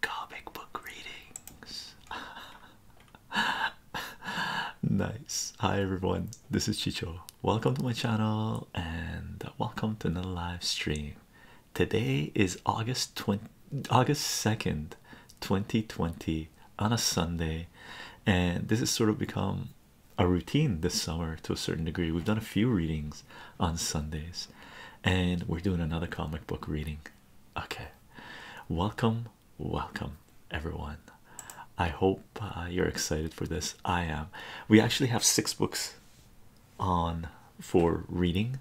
comic book readings. nice. Hi everyone, this is Chicho. Welcome to my channel and welcome to another live stream. Today is August 20, August 2nd, 2020 on a Sunday and this has sort of become a routine this summer to a certain degree. We've done a few readings on Sundays and we're doing another comic book reading Okay, welcome, welcome, everyone. I hope uh, you're excited for this. I am. We actually have six books on for reading,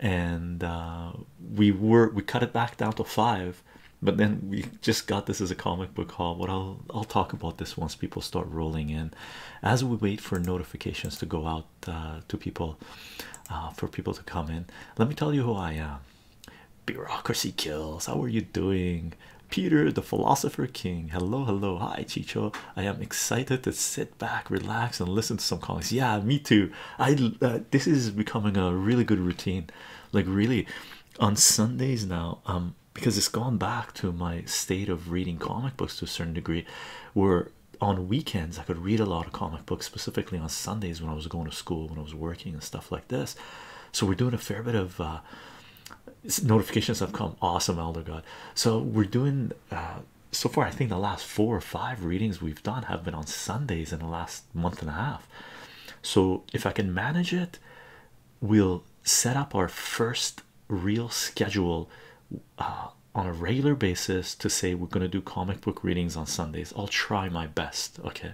and uh, we were we cut it back down to five, but then we just got this as a comic book haul. But I'll I'll talk about this once people start rolling in, as we wait for notifications to go out uh, to people uh, for people to come in. Let me tell you who I am. Bureaucracy kills. How are you doing? Peter the philosopher king. Hello, hello. Hi, Chicho. I am excited to sit back, relax, and listen to some comics. Yeah, me too. I uh, this is becoming a really good routine. Like really on Sundays now, um, because it's gone back to my state of reading comic books to a certain degree, where on weekends I could read a lot of comic books, specifically on Sundays when I was going to school, when I was working and stuff like this. So we're doing a fair bit of uh, notifications have come. Awesome, Elder God. So we're doing uh, so far. I think the last four or five readings we've done have been on Sundays in the last month and a half. So if I can manage it, we'll set up our first real schedule uh, on a regular basis to say we're going to do comic book readings on Sundays. I'll try my best. Okay.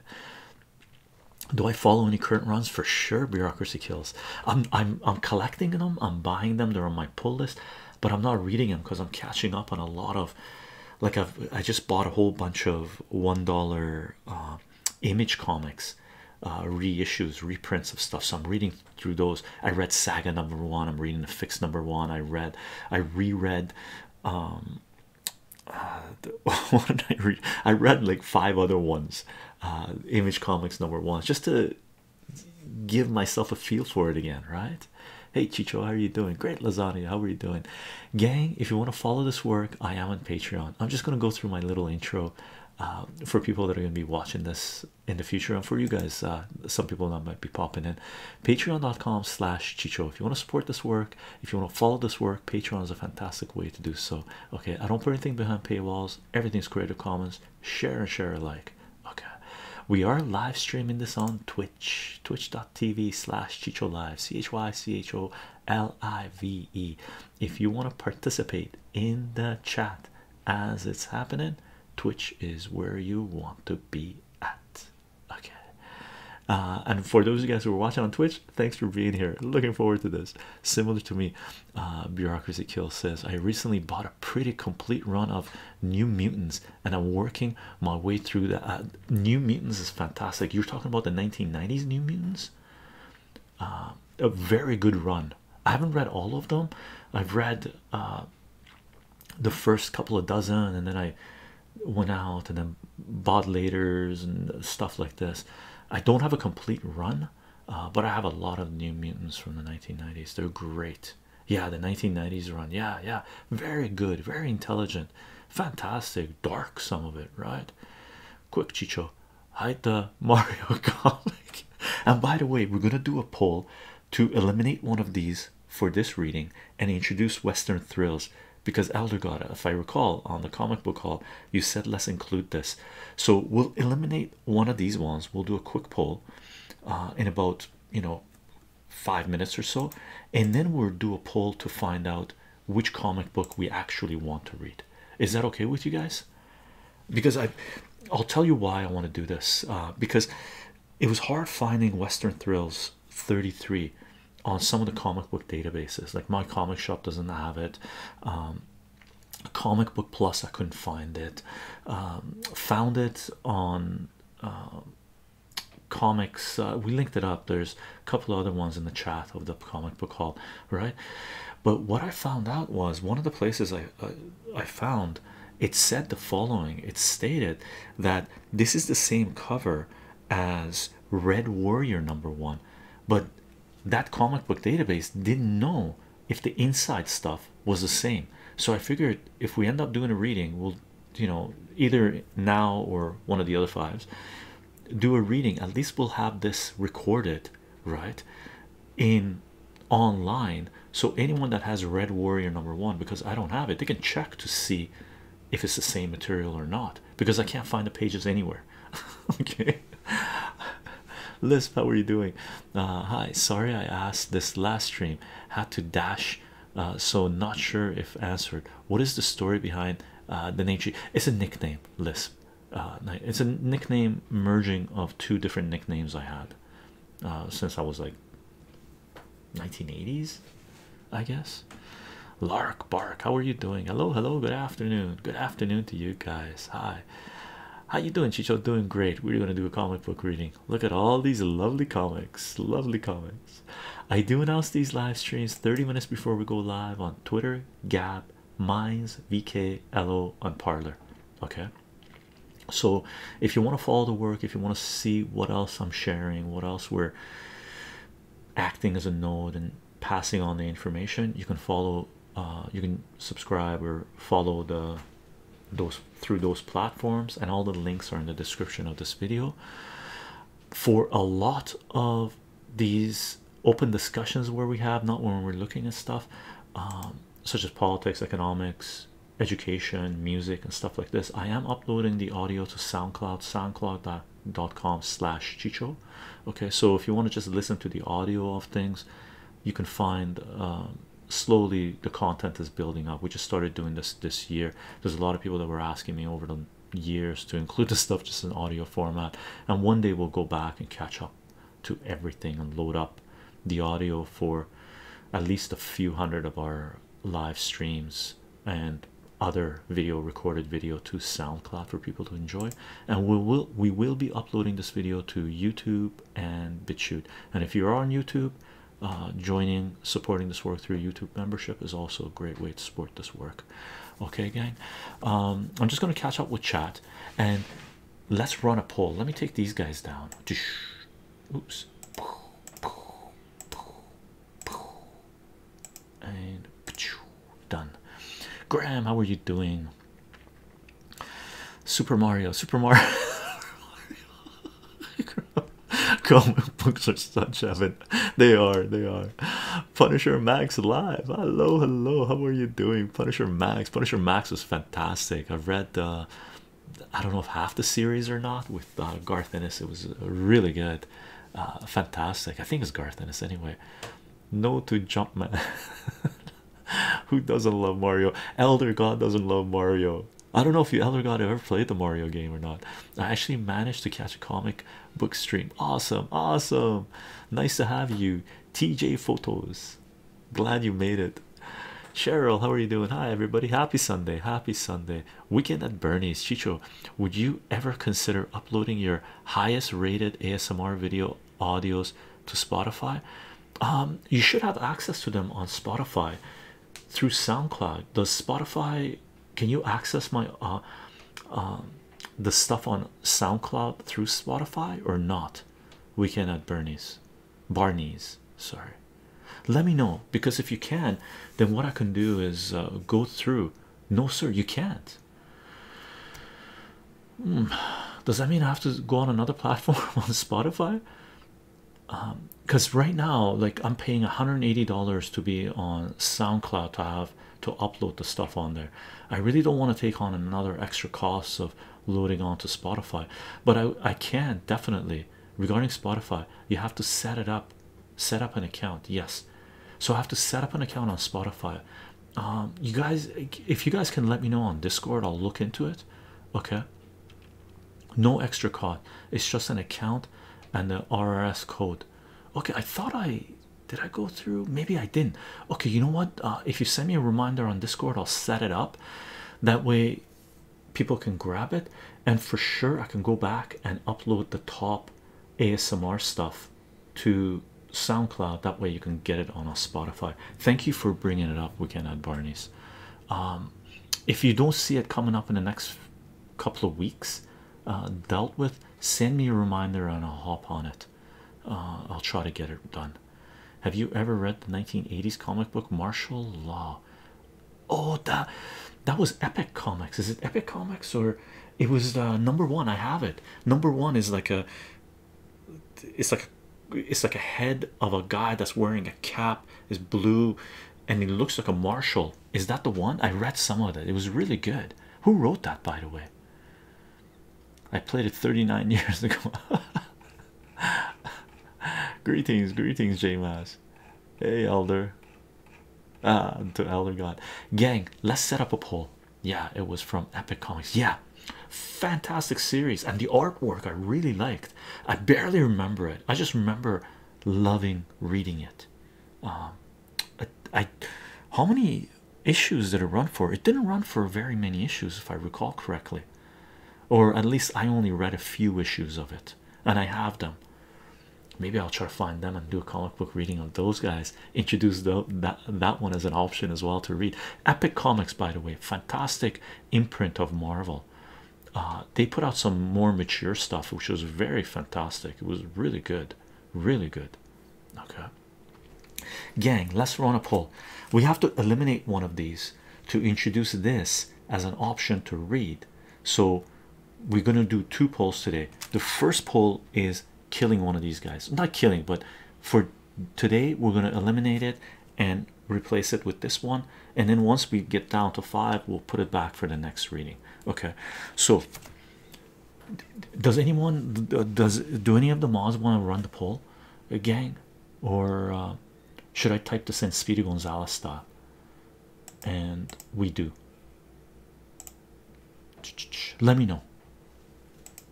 Do I follow any current runs? For sure, bureaucracy kills. I'm I'm I'm collecting them, I'm buying them, they're on my pull list, but I'm not reading them because I'm catching up on a lot of like I've I just bought a whole bunch of one dollar uh, image comics, uh, reissues, reprints of stuff. So I'm reading through those. I read Saga number one. I'm reading the fix number one. I read, I reread. Um, uh, what did I read? I read like five other ones. Uh, Image Comics number one, just to give myself a feel for it again, right? Hey Chicho, how are you doing? Great lasagna, how are you doing? Gang, if you want to follow this work, I am on Patreon. I'm just gonna go through my little intro uh, for people that are gonna be watching this in the future, and for you guys, some people that might be popping in patreon.com slash chicho if you want to support this work if you want to follow this work patreon is a fantastic way to do so okay i don't put anything behind paywalls everything's creative commons share and share alike okay we are live streaming this on twitch twitch.tv slash chicho live c-h-y-c-h-o-l-i-v-e if you want to participate in the chat as it's happening twitch is where you want to be at Okay. Uh, and for those of you guys who are watching on Twitch, thanks for being here. Looking forward to this. Similar to me, uh, Bureaucracy kills. says, I recently bought a pretty complete run of New Mutants and I'm working my way through that. Uh, New Mutants is fantastic. You're talking about the 1990s New Mutants? a very good run. I haven't read all of them. I've read the first couple of dozen and then I went out and then bought laters and stuff like this. I don't have a complete run, uh, but I have a lot of new mutants from the 1990s. They're great. Yeah, the 1990s run. Yeah, yeah. Very good, very intelligent, fantastic, dark some of it, right? Quick Chicho, hide the Mario comic. and by the way, we're gonna do a poll to eliminate one of these for this reading and introduce Western thrills because Eldergata, if I recall, on the comic book hall, you said let's include this. So we'll eliminate one of these ones. We'll do a quick poll uh, in about you know five minutes or so, and then we'll do a poll to find out which comic book we actually want to read. Is that okay with you guys? Because I, I'll tell you why I want to do this. Uh, because it was hard finding Western thrills 33 on some of the comic book databases like my comic shop doesn't have it um, comic book plus i couldn't find it um, found it on uh, comics uh, we linked it up there's a couple other ones in the chat of the comic book hall right but what i found out was one of the places i, I found it said the following it stated that this is the same cover as Red Warrior number one, but that comic book database didn't know if the inside stuff was the same. So I figured if we end up doing a reading, we'll you know either now or one of the other fives do a reading at least we'll have this recorded right in online so anyone that has red warrior number one because i don't have it they can check to see if it's the same material or not because I can't find the pages anywhere. okay, Lisp, how are you doing? Uh, hi, sorry I asked this last stream, had to dash, uh, so not sure if answered. What is the story behind uh, the name? It's a nickname, Lisp. it's a nickname merging of two different nicknames I had since I was like 1980s, I guess. Lark Bark, how are you doing? Hello, hello, good afternoon. Good afternoon to you guys. Hi. How you doing, Chicho? Doing great. We're gonna do a comic book reading. Look at all these lovely comics. Lovely comics. I do announce these live streams 30 minutes before we go live on Twitter, Gab, Minds, VK, Hello, and Parlor. Okay. So if you want to follow the work, if you want to see what else I'm sharing, what else we're acting as a node and passing on the information you can follow uh, you can subscribe or follow the those through those platforms and all the links are in the description of this video for a lot of these open discussions where we have not when we're looking at stuff um, such as politics economics education music and stuff like this i am uploading the audio to sound soundcloud soundcloud.com slash chicho okay so if you want to just listen to the audio of things you can find um, slowly the content is building up we just started doing this this year there's a lot of people that were asking me over the years to include the stuff just in audio format and one day we'll go back and catch up to everything and load up the audio for at least a few hundred of our live streams and other video recorded video to SoundCloud for people to enjoy and we will we will be uploading this video to YouTube and BitChute and if you are on YouTube uh, joining supporting this work through YouTube membership is also a great way to support this work okay gang um, I'm just gonna catch up with chat and let's run a poll let me take these guys down oops and done. Graham, how are you doing? Super Mario, Super Mario. Comic books are such heaven. They are, they are. Punisher Max live. Hello, hello. How are you doing, Punisher Max? Punisher Max was fantastic. I've read, uh, I don't know if half the series or not with uh, Garth Ennis. It was uh, really good. Uh, fantastic i think it's garth ennis anyway no to jumpman who doesn't love mario elder god doesn't love mario i don't know if you elder god ever played the mario game or not i actually managed to catch a comic book stream awesome awesome nice to have you tj photos glad you made it cheryl how are you doing hi everybody happy sunday happy sunday Weekend at Bernie's Chicho, would you ever consider uploading your highest rated ASMR video audios to Spotify? Um, you should have access to them on Spotify through SoundCloud. Does Spotify can you access my uh, um, the stuff on SoundCloud through Spotify or not? Weekend at Bernie's, Barney's. Sorry, let me know because if you can, then what I can do is uh, go through. No, sir, you can't. Hmm. Does that mean I have to go on another platform on Spotify? Because um, right now, like I'm paying $180 to be on SoundCloud to have to upload the stuff on there. I really don't want to take on another extra cost of loading onto Spotify, but I, I can definitely regarding Spotify, you have to set it up set up an account yes so i have to set up an account on spotify um, you guys if you guys can let me know on discord i'll look into it okay no extra cost it's just an account and the rrs code okay i thought i did i go through maybe i didn't okay you know what uh, if you send me a reminder on discord i'll set it up that way people can grab it and for sure i can go back and upload the top ASMR stuff to SoundCloud. That way you can get it on a Spotify. Thank you for bringing it up, We can add Barney's. Um, if you don't see it coming up in the next couple of weeks, uh, dealt with, send me a reminder and I'll hop on it. Uh, I'll try to get it done. Have you ever read the 1980s comic book Martial Law? oh that that was epic comics is it epic comics or it was uh, number one i have it number one is like a it's like it's like a head of a guy that's wearing a cap is blue and he looks like a marshal is that the one i read some of that. it was really good who wrote that by the way i played it 39 years ago greetings greetings j -Mass. hey elder Ah, to Elder God. Gang, let's set up a poll. Yeah, it was from Epic Comics. Yeah, fantastic series. And the artwork I really liked. I barely remember it. I just remember loving reading it. Um, how many issues did it run for? It didn't run for very many issues, if I recall correctly, or at least I only read a few issues of it and I have them. Maybe I'll try to find them and do a comic book reading on those guys. Introduce that that one as an option as well to read. Epic Comics, by the way, fantastic imprint of Marvel. Uh, they put out some more mature stuff, which was very fantastic. It was really good, really good. Okay, gang, let's run a poll. We have to eliminate one of these to introduce this as an option to read so we're going to do two polls today. The first poll is killing one of these guys. Not killing, but for today we're going to eliminate it and replace it with this one. And then once we get down to five, we'll put it back for the next reading. Okay. So does anyone does do any of the mods want to run the poll again? Uh, or uh, should I type this in Speedy Gonzalez style? And we do. Let me know.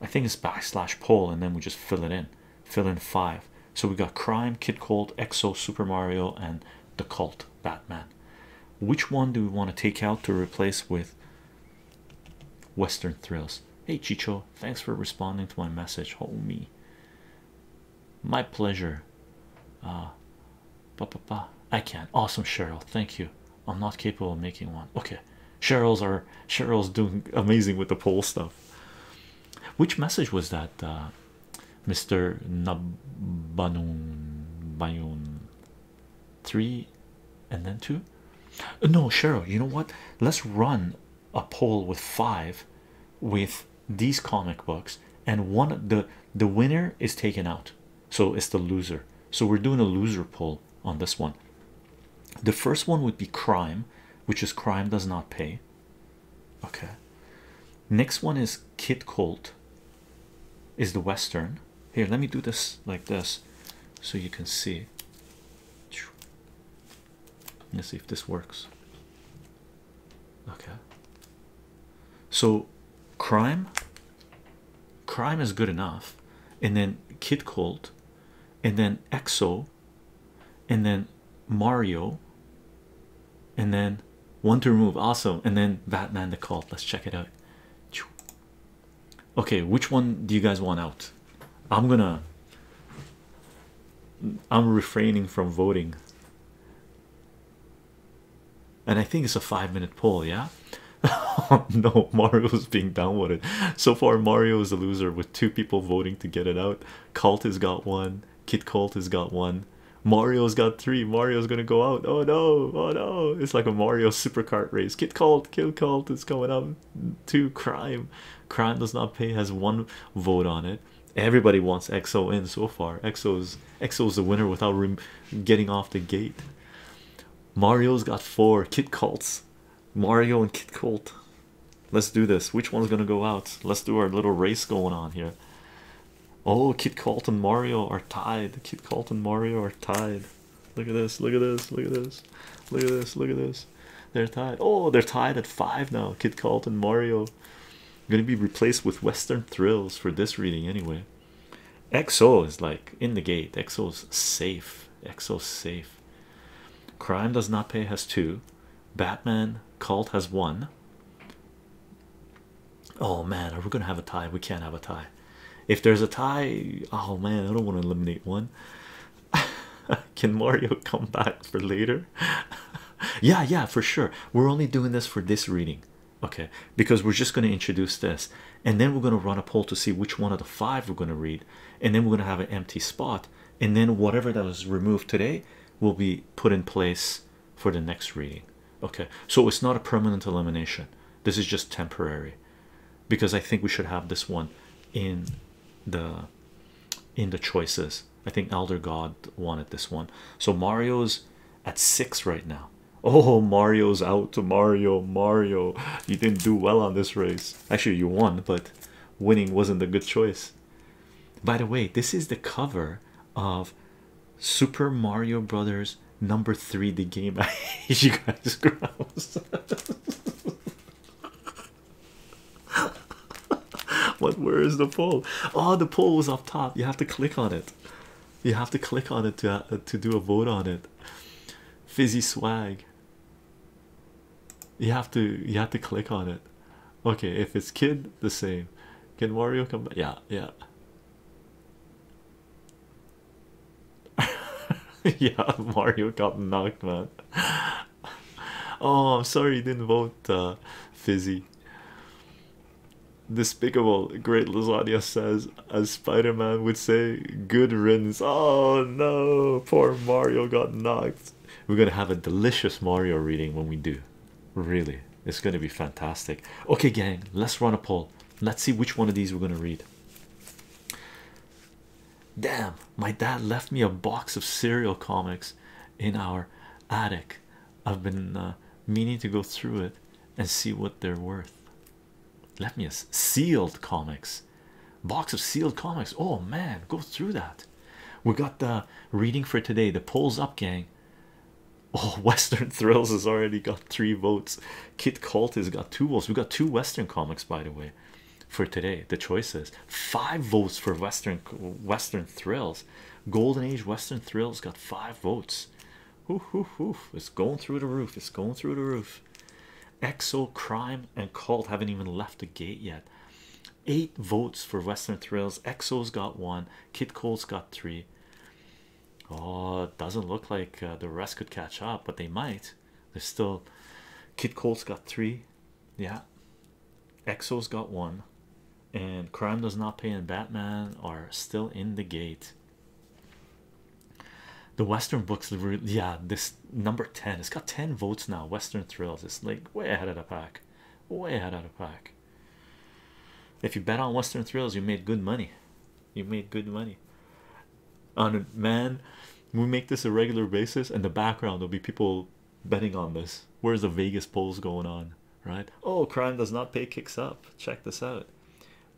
I think it's backslash Paul, and then we just fill it in. Fill in five. So we got Crime, Kid Cold, Exo, Super Mario, and the Cult Batman. Which one do we want to take out to replace with Western Thrills? Hey Chicho, thanks for responding to my message, Oh me, My pleasure. Ah. Ba, ba, ba. I can. Awesome, Cheryl. Thank you. I'm not capable of making one. Okay. Cheryl's are Cheryl's doing amazing with the poll stuff. Which message was that, Mr. Nabanun Bayun? Three and then two? Uh, no, Cheryl, you know what? Let's run a poll with five with these comic books, and one the the winner is taken out so it's the loser so we're doing a loser poll on this one the first one would be crime which is crime does not pay okay next one is kit colt is the western here let me do this like this so you can see let's see if this works okay so crime crime is good enough and then kid colt and then exo and then mario and then one to remove awesome and then batman the cult let's check it out okay which one do you guys want out i'm gonna i'm refraining from voting and I think it's a five minute poll. Yeah, no, Mario's being down with it. so far. Mario is the loser with two people voting to get it out. Cult has got one, Kit Cult has got one, Mario's got three. Mario's gonna go out. Oh no, oh no, it's like a Mario Super Kart race. Kit Cult, Kid Cult is coming up. Two crime, crime does not pay has one vote on it. Everybody wants XO in so far. XO's is the winner without getting off the gate. Mario's got four Kit Colts. Mario and Kit Colt. Let's do this. Which one's gonna go out? Let's do our little race going on here. Oh, Kit Colt and Mario are tied. Kit Colt and Mario are tied. Look at this. Look at this. Look at this. Look at this. Look at this. They're tied. Oh, they're tied at five now. Kit Colt and Mario. gonna be replaced with Western Thrills for this reading anyway. Exo is like in the gate. XO's safe. XO's safe. Crime does not pay has two. Batman cult has one. Oh man, are we gonna have a tie? We can't have a tie. If there's a tie, oh man, I don't want to eliminate one. Can Mario come back for later? yeah, yeah, for sure. We're only doing this for this reading okay because we're just going to introduce this and then we're going to run a poll to see which one of the five we're going to read and then we're going to have an empty spot and then whatever that was removed today will be put in place for the next reading okay so it's not a permanent elimination this is just temporary because i think we should have this one in the in the choices i think elder god wanted this one so mario's at six right now Oh, Mario's out to Mario. Mario, you didn't do well on this race. Actually, you won, but winning wasn't a good choice. By the way, this is the cover of Super Mario Brothers number three, the game. I hate you guys, what where is the pole? Oh, the pole was up top. You have to click on it. You have to click on it to uh, to do a vote on it. Fizzy swag. You have to you have to click on it. Okay, if it's kid, the same. Can Mario come back? Yeah, yeah. yeah, Mario got knocked, man. oh, I'm sorry you didn't vote, uh, Fizzy. Despicable, great lasagna says, as Spider Man would say, good riddance. Oh no, poor Mario got knocked. We're gonna have a delicious Mario reading when we do. Really, it's gonna be fantastic. Okay, gang, let's run a poll. Let's see which one of these we're gonna read. Damn, my dad left me a box of cereal comics in our attic. I've been uh, meaning to go through it and see what they're worth let me guess, sealed comics box of sealed comics oh man go through that we got the reading for today the polls up gang oh western thrills has already got three votes kit cult has got two votes we got two western comics by the way for today the choices five votes for western western thrills golden age western thrills got five votes Oof, oof, oof. It's going through the roof. It's going through the roof. Exo Crime and Cult haven't even left the gate yet. Eight votes for Western Thrills. Exo's got one. Kid colt has got three. Oh, it doesn't look like uh, the rest could catch up, but they might. There's still Kid colt has got three. Yeah. Exo's got one. And Crime Does Not Pay and Batman are still in the gate. The Western books, yeah, this number 10, it's got 10 votes now. Western Thrills, it's like way ahead of the pack, way ahead of the pack. If you bet on Western Thrills, you made good money. You made good money. On a man, we make this a regular basis, and the background there'll be people betting on this. Where's the Vegas polls going on, right? Oh, crime does not pay kicks up. Check this out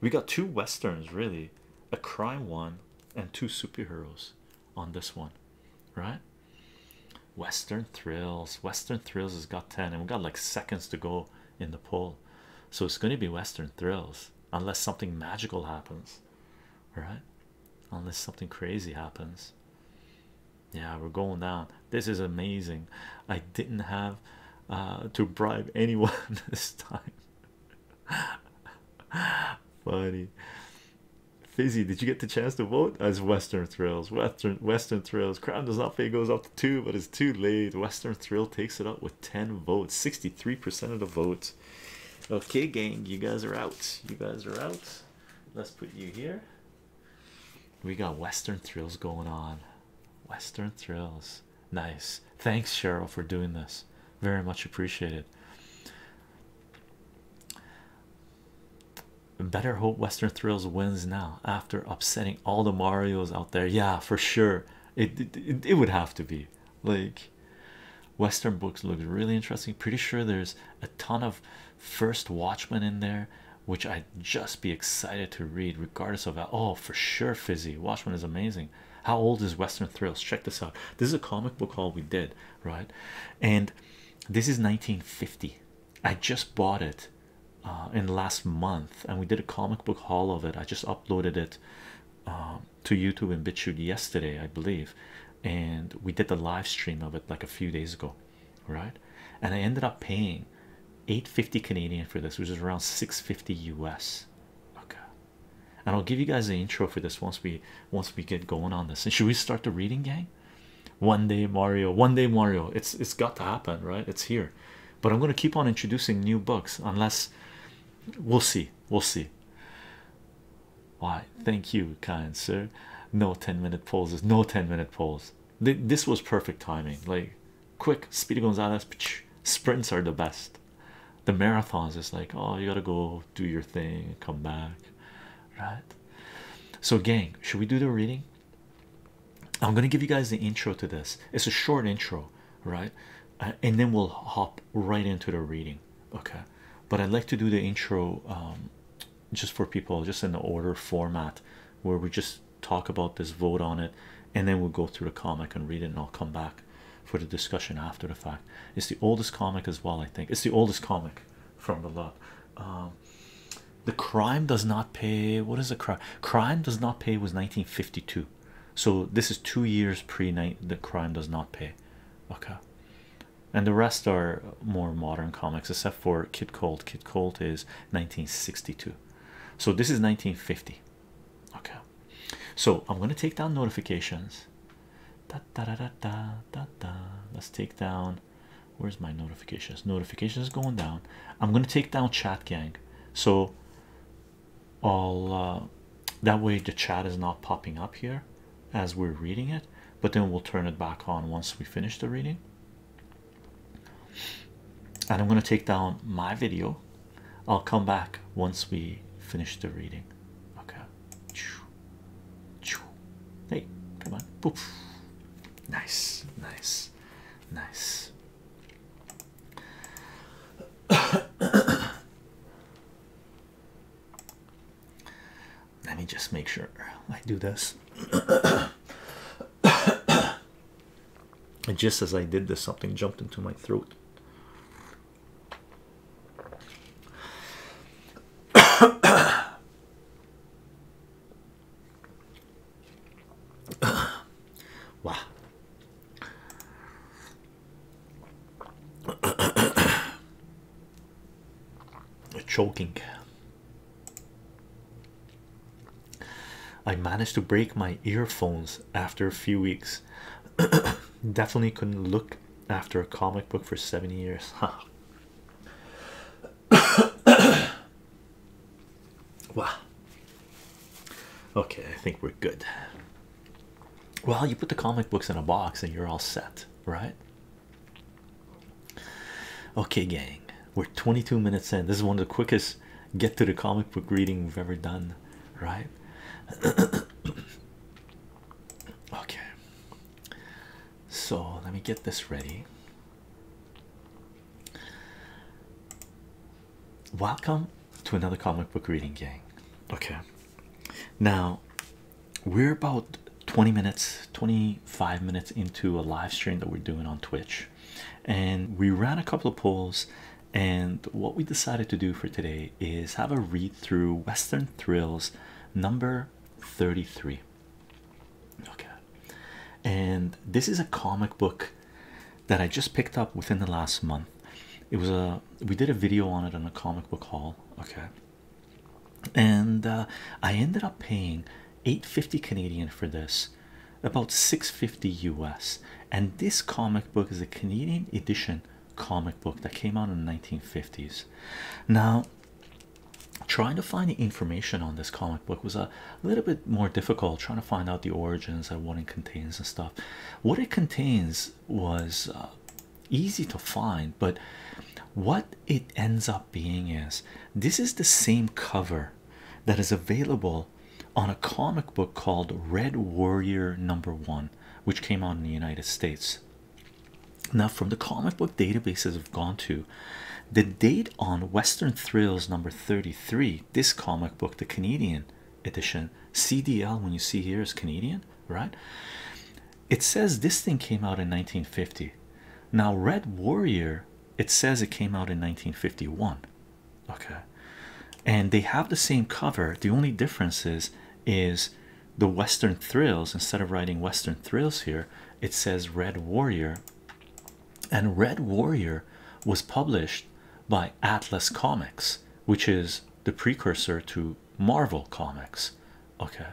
we got two westerns really a crime one and two superheroes on this one right western thrills western thrills has got 10 and we got like seconds to go in the poll so it's going to be western thrills unless something magical happens right unless something crazy happens yeah we're going down this is amazing i didn't have uh, to bribe anyone this time Funny. Fizzy, did you get the chance to vote? As Western Thrills, Western Western Thrills. Crown does not pay goes up to two, but it's too late. Western Thrill takes it up with 10 votes, 63% of the votes. Okay, gang, you guys are out. You guys are out. Let's put you here. We got Western Thrills going on. Western Thrills. Nice. Thanks, Cheryl, for doing this. Very much appreciated. Better hope Western Thrills wins now after upsetting all the Marios out there. Yeah, for sure. It it, it would have to be like Western books looks really interesting. Pretty sure there's a ton of First Watchmen in there, which I'd just be excited to read, regardless of that. Oh, for sure, Fizzy Watchmen is amazing how old is western thrills check this out this is a comic book haul we did right and this is 1950 i just bought it uh, in last month and we did a comic book haul of it i just uploaded it um, to youtube and bitchute yesterday i believe and we did the live stream of it like a few days ago right and i ended up paying 850 canadian for this which is around 650 us okay and I'll give you guys the intro for this once we once we get going on this. And should we start the reading, gang? One day Mario, one day Mario. It's it's got to happen, right? It's here. But I'm gonna keep on introducing new books unless we'll see. We'll see. Why? Thank you, kind sir. No 10-minute pauses. No 10-minute pause. This was perfect timing. Like quick, speedy Gonzales. Sprints are the best the marathons is like oh you gotta go do your thing come back right so gang should we do the reading i'm gonna give you guys the intro to this it's a short intro right uh, and then we'll hop right into the reading okay but i'd like to do the intro um, just for people just in the order format where we just talk about this vote on it and then we'll go through the comic and read it and i'll come back for the discussion after the fact. It's the oldest comic as well, I think. It's the oldest comic from the lot. Um, the crime does not pay. What is the crime? Crime does not pay was 1952, so this is two years pre night. The crime does not pay. Okay, and the rest are more modern comics, except for Kid Colt. Kid Colt is 1962, so this is 1950. Okay, so I'm going to take down notifications. Da, da, Let's take down. Where's my notifications? Notifications going down. I'm going to take down chat gang. So all uh, that way the chat is not popping up here as we're reading it, but then we'll turn it back on once we finish the reading. And I'm going to take down my video I'll come back once we finish the reading. Okay. Hey, come on. Boop. Nice, nice, nice. Let me just make sure I do this. and just as I did this, something jumped into my throat. Choking! I managed to break my earphones after a few weeks. Definitely couldn't look after a comic book for 70 years. wow. Okay, I think we're good. Well, you put the comic books in a box and you're all set, right? Okay, gang, we're 22 minutes in. This is one of the quickest get to the comic book reading we've ever done, right? Okay, so let me get this ready. Welcome to another comic book reading gang. Okay, now we're about 20 minutes, 25 minutes into a live stream that we're doing on Twitch, and we ran a couple of polls and what we decided to do for today is have a read through Western Thrills number 33. Okay. Oh, and this is a comic book that I just picked up within the last month. It was a we did a video on it on the comic book haul, okay. Oh, and uh, I ended up paying 850 Canadian for this, about 650 US. And this comic book is a Canadian edition comic book that came out in the 1950s. Now, trying to find the information on this comic book was a little bit more difficult, trying to find out the origins and what it contains and stuff. What it contains was uh, easy to find, but what it ends up being is this is the same cover that is available on a comic book called Red Warrior number one which came out in the United States. Now, from the comic book databases I've gone to, the date on Western Thrills number 33, this comic book, the Canadian edition, CDL, when you see here is Canadian, right? It says this thing came out in 1950. Now, Red Warrior, it says it came out in 1951. Okay. And they have the same cover. The only difference is is the Western Thrills. Instead of writing Western Thrills here, it says Red Warrior. And Red Warrior was published by Atlas Comics, which is the precursor to Marvel Comics. Okay,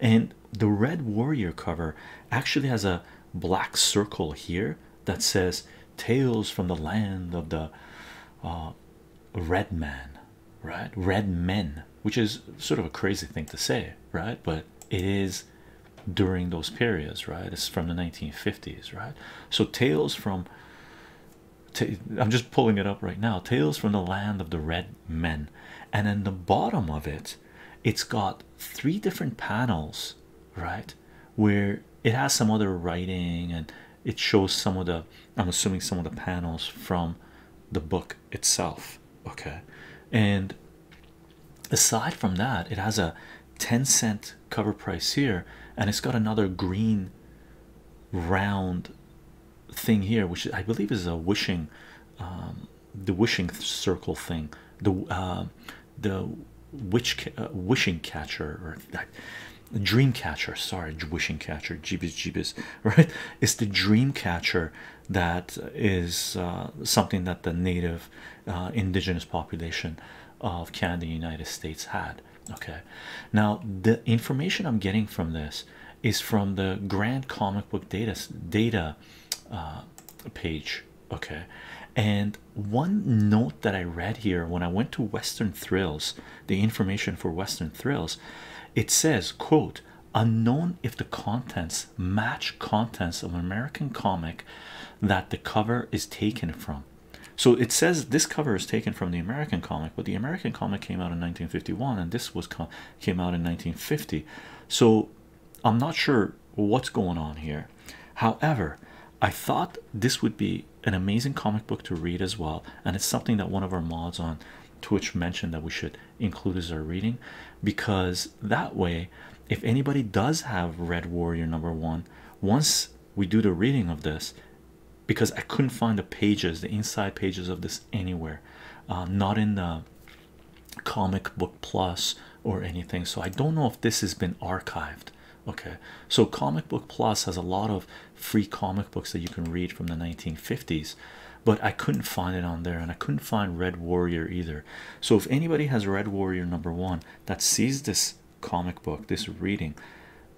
and the Red Warrior cover actually has a black circle here that says Tales from the Land of the uh, Red Man right? Red men, which is sort of a crazy thing to say, right? But it is during those periods, right? It's from the 1950s, right? So, tales from I'm just pulling it up right now Tales from the Land of the Red Men, and in the bottom of it, it's got three different panels, right? Where it has some other writing and it shows some of the i'm assuming some of the panels from the book itself okay and aside from that it has a 10 cent cover price here and it's got another green round thing here which i believe is a wishing um, the wishing circle thing the uh, the witch uh, wishing catcher or that dream catcher sorry wishing catcher jibis jibis, right it's the dream catcher that is uh, something that the native uh, indigenous population of Canada United States had okay now the information I'm getting from this is from the grand comic book data data uh, page okay and one note that I read here when I went to Western Thrills the information for Western Thrills, it says, quote, unknown if the contents match contents of American comic that the cover is taken from. So it says this cover is taken from the American comic, but the American comic came out in 1951 and this was came out in 1950. So I'm not sure what's going on here. However, I thought this would be an amazing comic book to read as well, and it's something that one of our mods on Twitch mentioned that we should include as our reading because that way, if anybody does have Red Warrior number one, once we do the reading of this, because I couldn't find the pages, the inside pages of this anywhere, uh, not in the comic book plus or anything. So I don't know if this has been archived. Okay, so comic book plus has a lot of free comic books that you can read from the 1950s but i couldn't find it on there and i couldn't find red warrior either so if anybody has red warrior number one that sees this comic book this reading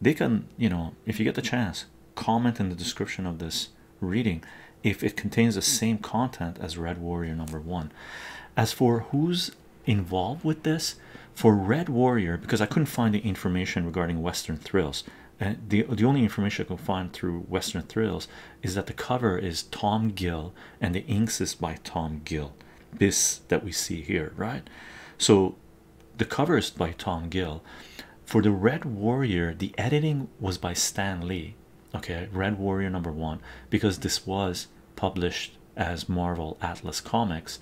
they can you know if you get the chance comment in the description of this reading if it contains the same content as red warrior number one as for who's involved with this for red warrior because i couldn't find the information regarding western thrills and the the only information I can find through Western Thrills is that the cover is Tom Gill and the inks is by Tom Gill. This that we see here, right? So the cover is by Tom Gill. For the Red Warrior, the editing was by Stan Lee. Okay, Red Warrior number one, because this was published as Marvel Atlas Comics,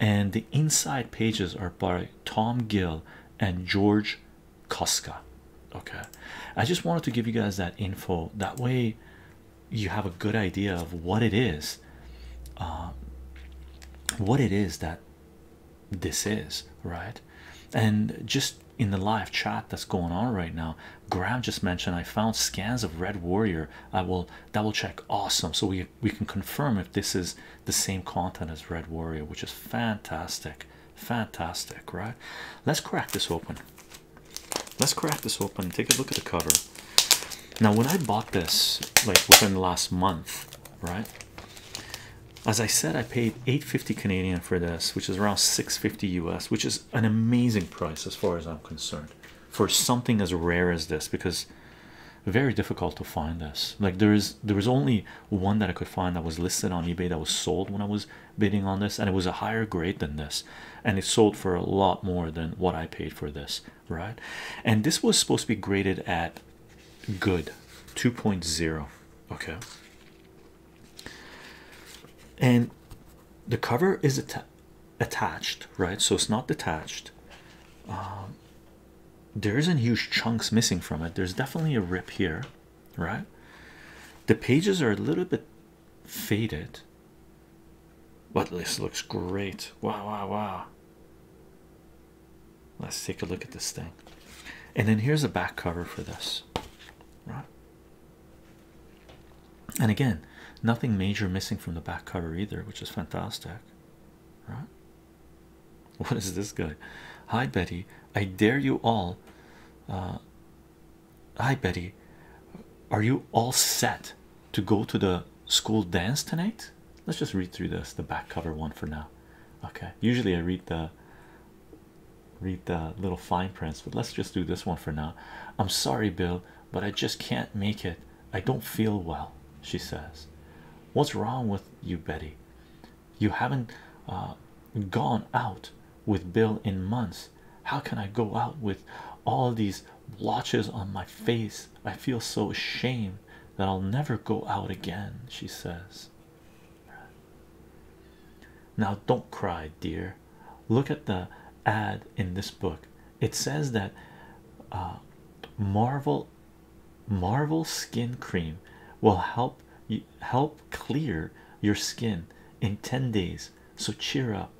and the inside pages are by Tom Gill and George Costco. Okay, I just wanted to give you guys that info that way you have a good idea of what it is, uh, what it is that this is, right? And just in the live chat that's going on right now, Graham just mentioned I found scans of Red Warrior. I will double check. Awesome, so we we can confirm if this is the same content as Red Warrior, which is fantastic, fantastic, right? Let's crack this open. Let's crack this open take a look at the cover. Now, when I bought this, like within the last month, right? As I said, I paid 850 Canadian for this, which is around 650 US, which is an amazing price as far as I'm concerned for something as rare as this because very difficult to find this. Like there is there is only one that I could find that was listed on eBay that was sold when I was bidding on this, and it was a higher grade than this, and it sold for a lot more than what I paid for this, right? And this was supposed to be graded at good 2.0, okay. And the cover is attached, right? So it's not detached. Um, there isn't huge chunks missing from it. There's definitely a rip here, right? The pages are a little bit faded, but this looks great. Wow, wow, wow. Let's take a look at this thing. And then here's a back cover for this, right? And again, nothing major missing from the back cover either, which is fantastic, right? What is this guy? Hi, Betty. I dare you all. Uh, hi, Betty. Are you all set to go to the school dance tonight? Let's just read through this, the back cover one for now. Okay. Usually I read the read the little fine prints, but let's just do this one for now. I'm sorry, Bill, but I just can't make it. I don't feel well, she says. What's wrong with you, Betty? you haven't uh, gone out with Bill in months. How can I go out with all these blotches on my face? I feel so ashamed that I'll never go out again, she says. Now, don't cry, dear. Look at the ad in this book. It says that uh, Marvel Marvel skin cream will help you help clear your skin in 10 days. So cheer up.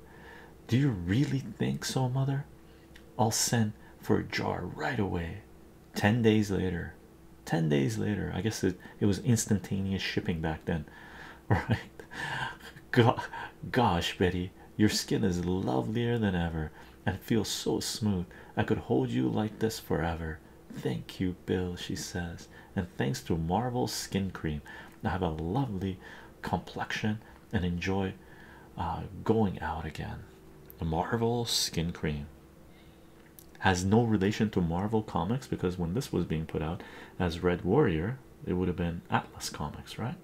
Do you really think so, mother? I'll send for a jar right away. 10 days later. 10 days later. I guess it, was instantaneous shipping back then. Right? gosh, Betty, your skin is lovelier than ever and feels so smooth. I could hold you like this forever. Thank you, Bill, she says, and thanks to Marvel Skin Cream, I have a lovely complexion and enjoy uh, going out again. Marvel Skin Cream has no relation to Marvel Comics because when this was being put out as Red Warrior, it would have been Atlas Comics, right?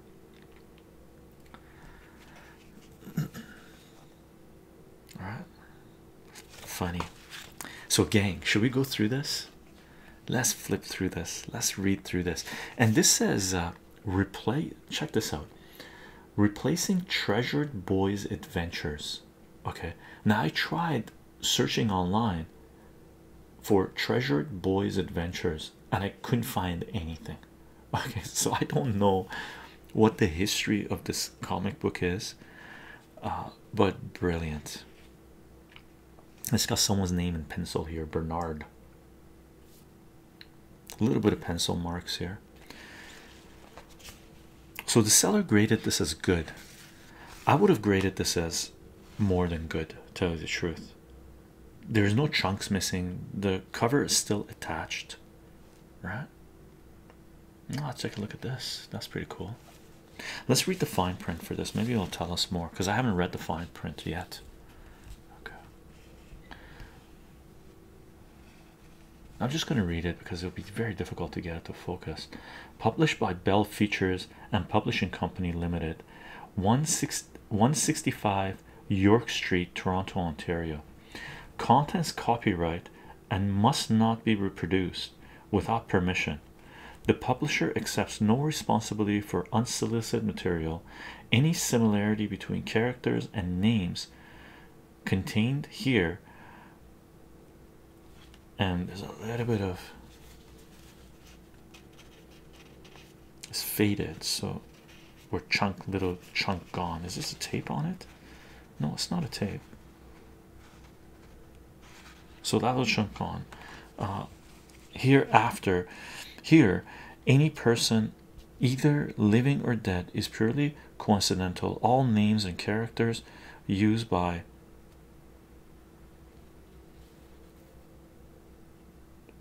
All right, funny. So, gang, should we go through this? Let's flip through this, let's read through this. And this says, uh, replay check this out replacing treasured boys' adventures. Okay, now I tried searching online for treasured boys' adventures and I couldn't find anything. Okay, so I don't know what the history of this comic book is. Uh, but brilliant. It's got someone's name in pencil here, Bernard. A little bit of pencil marks here. So the seller graded this as good. I would have graded this as more than good, to tell you the truth. There's no chunks missing, the cover is still attached right? Let's take a look at this. That's pretty cool. Let's read the fine print for this. Maybe it'll tell us more because I haven't read the fine print yet. Okay. I'm just going to read it because it'll be very difficult to get it to focus. Published by Bell Features and Publishing Company Limited, 165 York Street, Toronto, Ontario. Contents copyright and must not be reproduced without permission. The publisher accepts no responsibility for unsolicited material. Any similarity between characters and names contained here, and there's a little bit of it's faded, so we're chunk little chunk gone. Is this a tape on it? No, it's not a tape. So that was Shunkon. Uh, hereafter, here, any person, either living or dead, is purely coincidental. All names and characters used by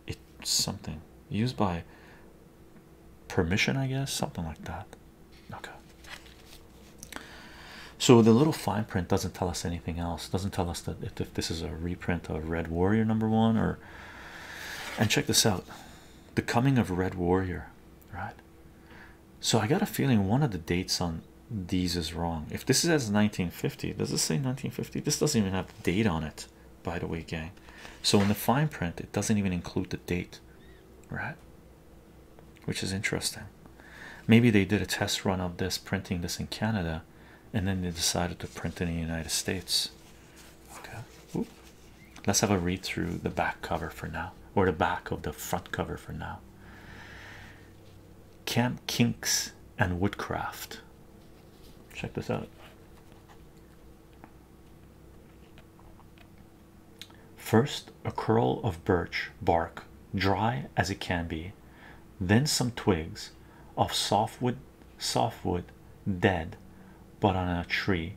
it's something used by permission, I guess, something like that. Okay. So the little fine print doesn't tell us anything else. Doesn't tell us that if, this is a reprint of Red Warrior number one or. And check this out, the coming of Red Warrior, right? So I got a feeling one of the dates on these is wrong. If this is 1950, does this say 1950? This doesn't even have the date on it, by the way, gang. So in the fine print, it doesn't even include the date, right? which is interesting. Maybe they did a test run of this, printing this in Canada, and then they decided to print it in the United States. Okay, let's have a read through the back cover for now, or the back of the front cover for now. Camp Kinks and Woodcraft. Check this out. First, a curl of birch bark, dry as it can be, then some twigs of softwood, softwood dead but on a tree.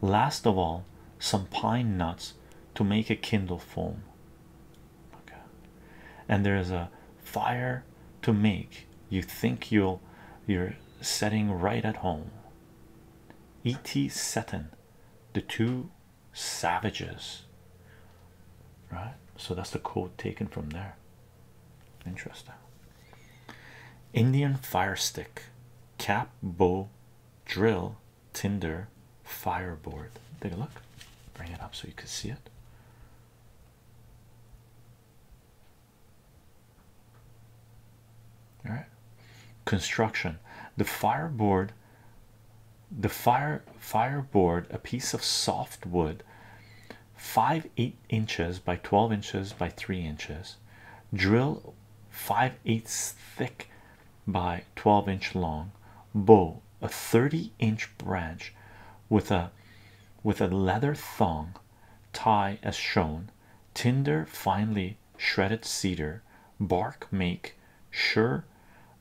Last of all, some pine nuts to make a kindle foam. Okay. And there is a fire to make you think you'll you're setting right at home. E.T. Seton, the two savages right so that's the quote taken from there interesting indian fire stick cap bow drill tinder fire board. take a look bring it up so you can see it all right construction the fire board the fire board, a piece of soft wood five eight inches by 12 inches by three inches drill five eighths thick by 12 inch long bow a 30 inch branch with a with a leather thong tie as shown tinder finely shredded cedar bark make Sure,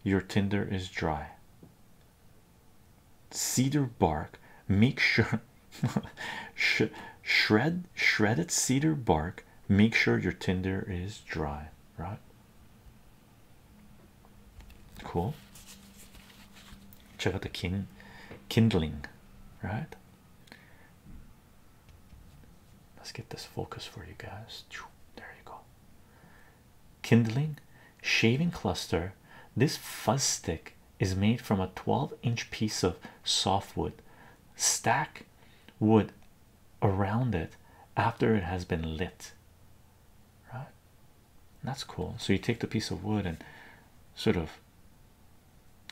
your tinder is dry. Cedar bark, make sure shred shredded cedar bark. Make sure your tinder is dry, right? Cool. Check out the kindling, right? Let's get this focus for you guys. There you go kindling shaving cluster this fuzz stick is made from a 12 inch piece of softwood stack wood around it after it has been lit right that's cool so you take the piece of wood and sort of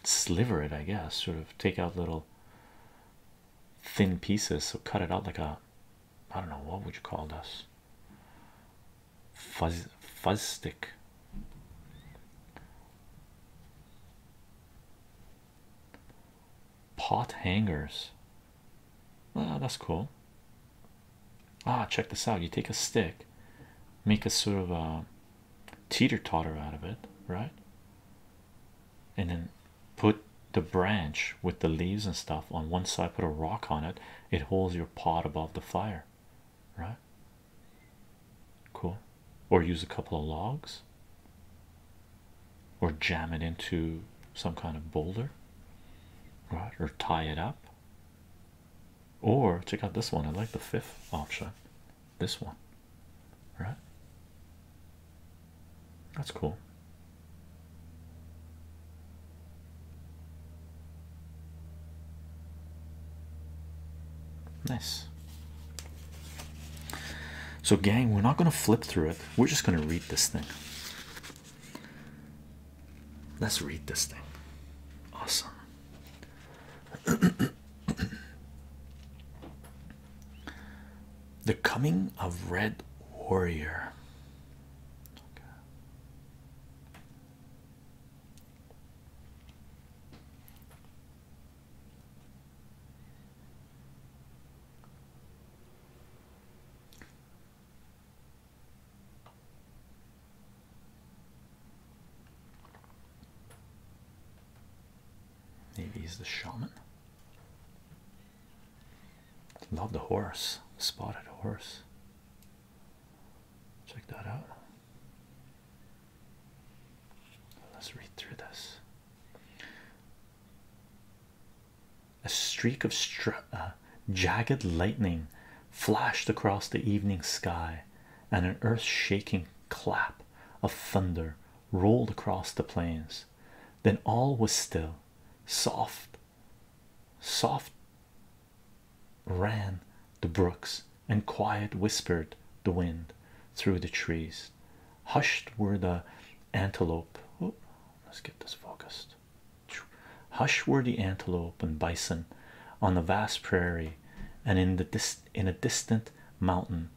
sliver it i guess sort of take out little thin pieces so cut it out like a I don't know what would you call this fuzz fuzz stick pot hangers oh, that's cool ah check this out you take a stick make a sort of a teeter-totter out of it right and then put the branch with the leaves and stuff on one side, put a rock on it, it holds your pot above the fire, right? Cool, or use a couple of logs, or jam it into some kind of boulder, right? Or tie it up, or check out this one. I like the fifth option, this one, right? That's cool. Nice. So, gang, we're not going to flip through it. We're just going to read this thing. Let's read this thing. Awesome. The Coming of Red Warrior. Maybe he's the shaman. Love the horse, spotted horse. Check that out. Let's read through this. A streak of str uh, jagged lightning flashed across the evening sky, and an earth shaking clap of thunder rolled across the plains. Then all was still, soft soft ran the brooks and quiet whispered the wind through the trees hushed were the antelope let's get this focused hush were the antelope and bison on the vast prairie and in the dis in a distant mountain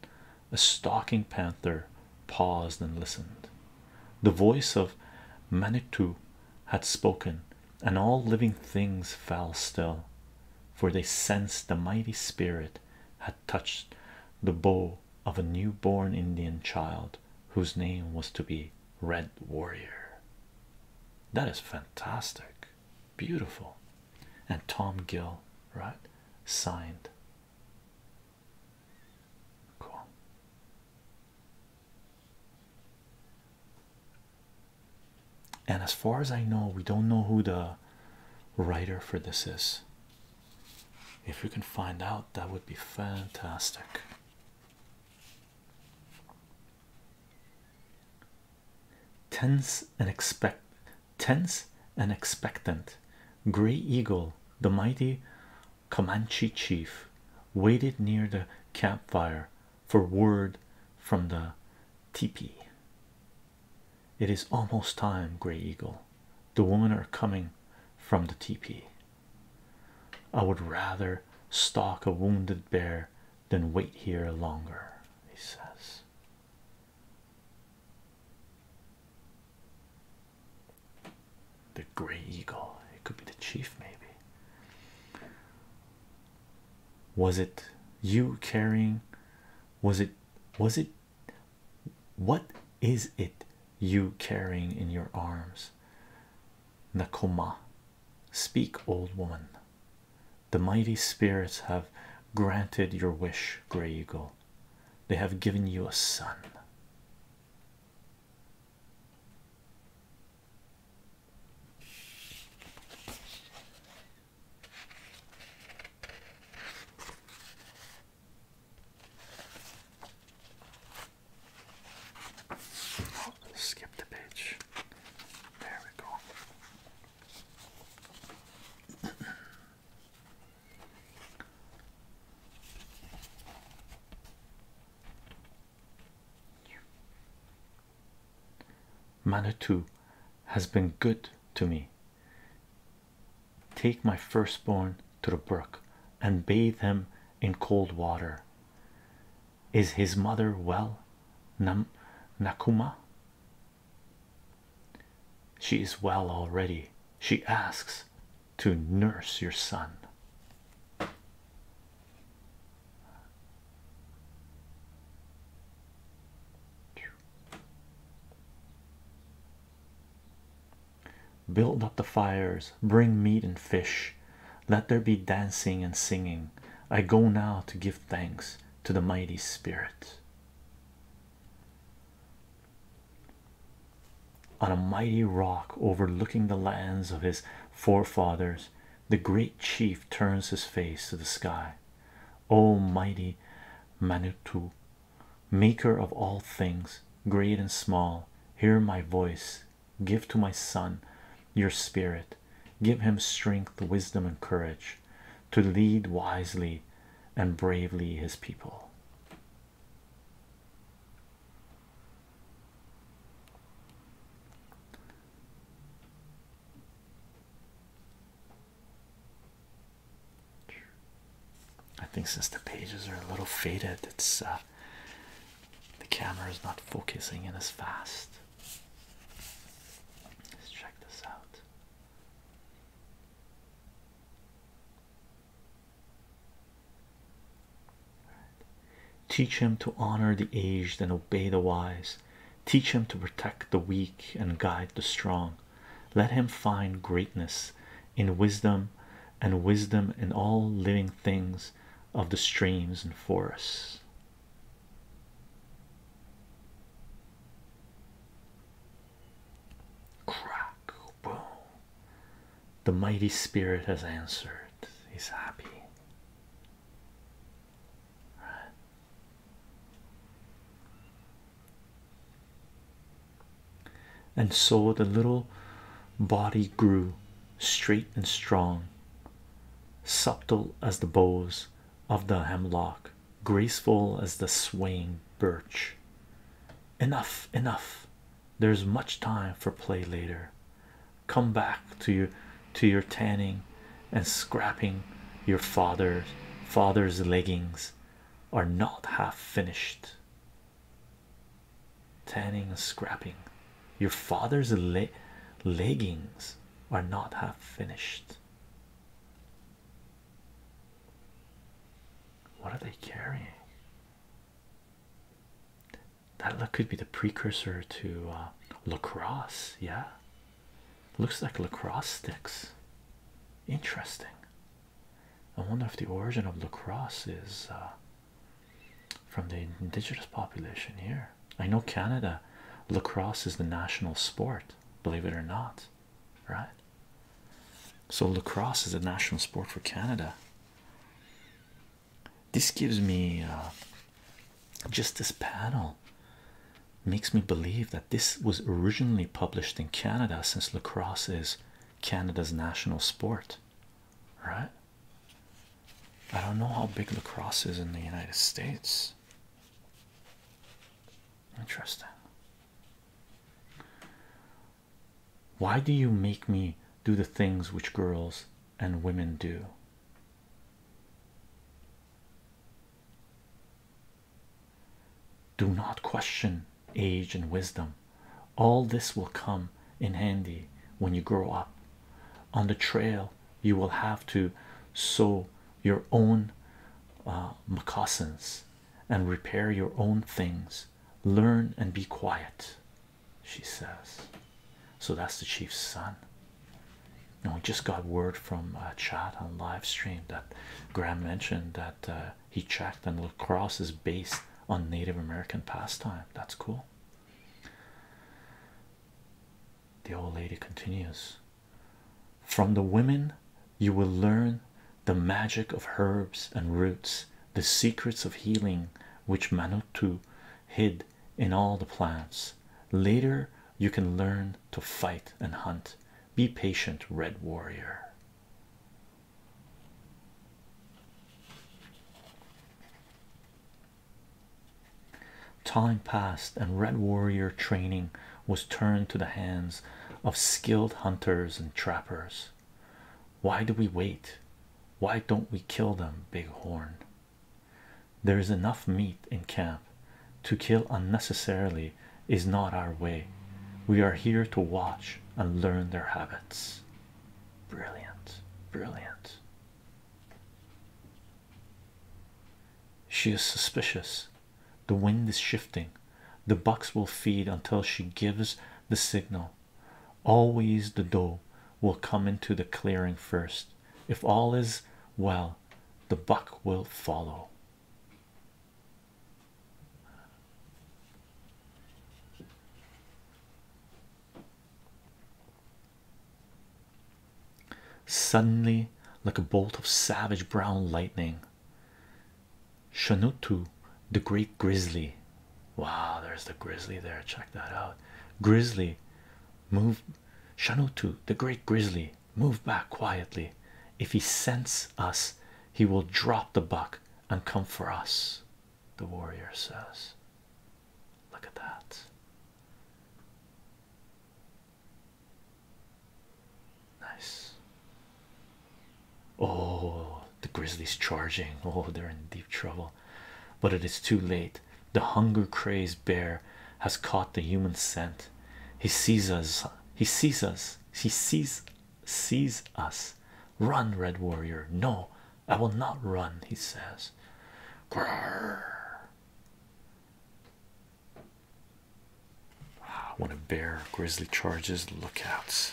a stalking panther paused and listened. The voice of Manitou had spoken, and all living things fell still, for they sensed the mighty spirit had touched the bow of a new-born Indian child whose name was to be Red Warrior. That is fantastic, beautiful, and Tom Gill, right? Signed Cool. And as far as I know, we don't know who the writer for this is. If we can find out, that would be fantastic. Tense and expect, tense and expectant, Gray Eagle, the mighty Comanche chief waited near the campfire for word from the teepee. It is almost time, Grey Eagle. The women are coming from the teepee. I would rather stalk a wounded bear than wait here longer, he says the gray eagle. It could be the chief, maybe. Was it you carrying? Was it? Was it? What is it you carrying in your arms? Nakoma, speak, old woman. The mighty spirits have granted your wish, Grey Eagle. They have given you a son skip the page. There we go. Manitou has been good to me. Take my firstborn to the brook and bathe him in cold water. Is his mother well? Nakuma? She is well already. She asks, to nurse your son. Build up the fires, bring meat and fish, let there be dancing and singing. I go now to give thanks to the mighty spirit on a mighty rock overlooking the lands of his forefathers, the great chief turns his face to the sky. O mighty Manitou, maker of all things, great and small, hear my voice. Give to my son your spirit, give him strength, wisdom, and courage to lead wisely and bravely his people. I think since the pages are a little faded, it's uh, the camera is not focusing in as fast. Let's check this out. Teach him to honor the aged and obey the wise. Teach him to protect the weak and guide the strong. Let him find greatness in wisdom and wisdom in all living things of the streams and forests. The mighty spirit has answered. He's happy. And so the little body grew straight and strong, subtle as the bows of the hemlock, graceful as the swaying birch. Enough, enough, there's much time for play later. Come back to you to your tanning and scrapping your father's father's leggings are not half finished. Tanning and scrapping your father's le leggings are not half finished. What are they carrying? That could be the precursor to uh, lacrosse. Yeah, looks like lacrosse sticks. Interesting. I wonder if the origin of lacrosse is uh, from the indigenous population here. I know Canada, lacrosse is the national sport, believe it or not, right? So, lacrosse is a national sport for Canada. This gives me uh, just this panel makes me believe that this was originally published in Canada since lacrosse is Canada's national sport, right? I don't know how big lacrosse is in the United States. Interesting. Why do you make me do the things which girls and women do? Do not question age and wisdom. All this will come in handy when you grow up. On the trail, you will have to sew your own uh, moccasins and repair your own things. Learn and be quiet she says. So that's the chief's son. And we just got word from a uh, chat on live stream that Graham mentioned that uh, he tracked and lacrosse is based on Native American pastime. That's cool. The old lady continues From the women, you will learn the magic of herbs and roots the secrets of healing which Manottu hid in all the plants. Later, you can learn to fight and hunt. Be patient, Red Warrior. Time passed, and Red Warrior training was turned to the hands of skilled hunters and trappers. Why do we wait? Why don't we kill them, Big Horn? There is enough meat in camp. To kill unnecessarily is not our way. We are here to watch and learn their habits. Brilliant, brilliant. She is suspicious. The wind is shifting. The bucks will feed until she gives the signal Always the doe will come into the clearing first. If all is well, the buck will follow. Suddenly, like a bolt of savage brown lightning, Shanutu, the great grizzly, Wow, there's the grizzly there. Check that out. Grizzly move Shanotu, the great grizzly, move back quietly. If he scents us, he will drop the buck and come for us. The warrior says, Look at that. Nice. Oh, the grizzly's charging. Oh, they're in deep trouble, but it is too late the hunger crazed bear has caught the human scent he sees us he sees us he sees sees us run red warrior no i will not run he says Grrr. when a bear grizzly charges lookouts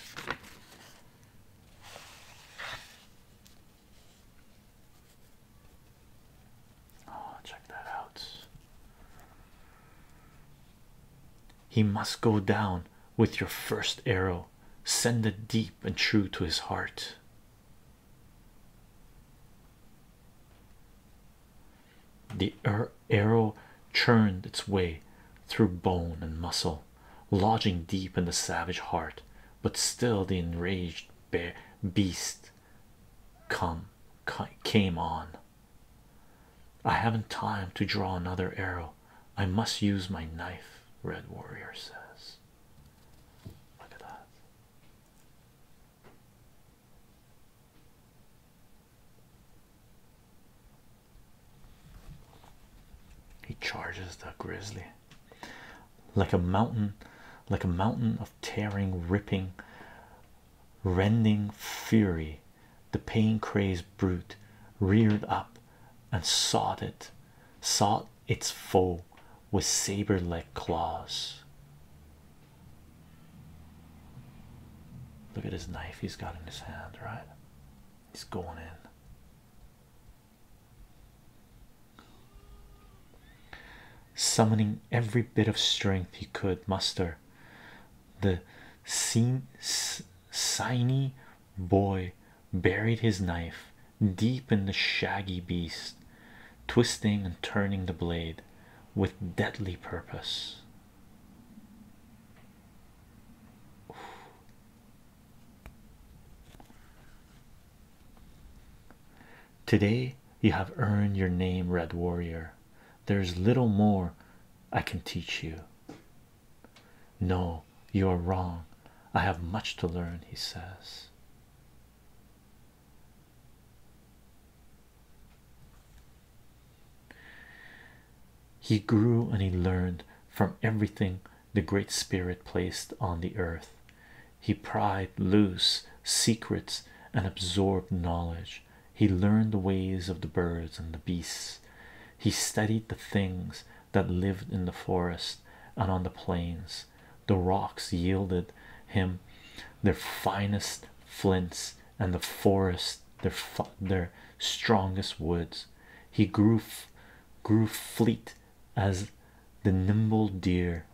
Oh, check that out. He must go down with your first arrow, send it deep and true to his heart. The er-, arrow churned its way through bone and muscle, lodging deep in the savage heart, but still the enraged bear beast come came on. I haven't time to draw another arrow. I must use my knife. Red Warrior says, "Look at that." He charges the grizzly like a mountain like a mountain of tearing ripping rending fury the pain crazed brute reared up and sought it sought its foe with saber-like claws look at his knife he's got in his hand right he's going in Summoning every bit of strength he could muster, the scene shiny boy buried his knife deep in the shaggy beast, twisting and turning the blade with deadly purpose. Today you have earned your name, Red Warrior. There's little more I can teach you. No, you are wrong. I have much to learn, he says. He grew and he learned from everything the Great Spirit placed on the earth. He pried loose secrets and absorbed knowledge. He learned the ways of the birds and the beasts. He studied the things that lived in the forest and on the plains. The rocks yielded him their finest flints, and the forest their their strongest woods. He grew grew fleet as the nimble deer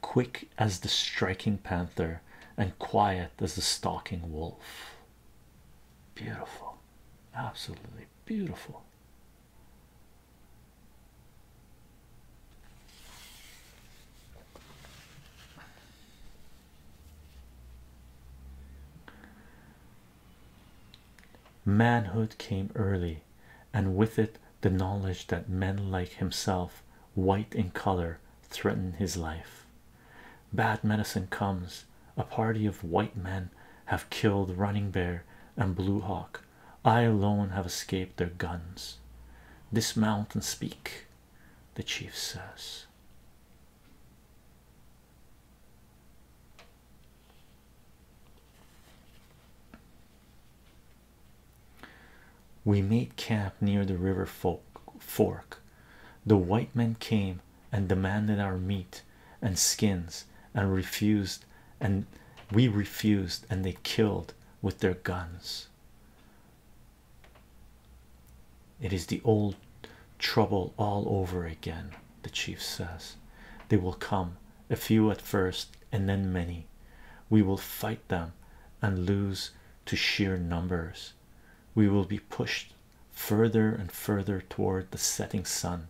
quick as the striking panther and quiet as the stalking wolf. Beautiful, absolutely beautiful. Manhood came early and with it the knowledge that men like himself, white in color, threaten his life. Bad medicine comes. A party of white men have killed Running Bear and Blue Hawk. I alone have escaped their guns. Dismount and speak, the chief says. We made camp near the river fork. The white men came and demanded our meat and skins and refused and we refused and they killed with their guns. It is the old trouble all over again, the chief says. They will come a few at first and then many we will fight them and lose to sheer numbers we will be pushed further and further toward the setting sun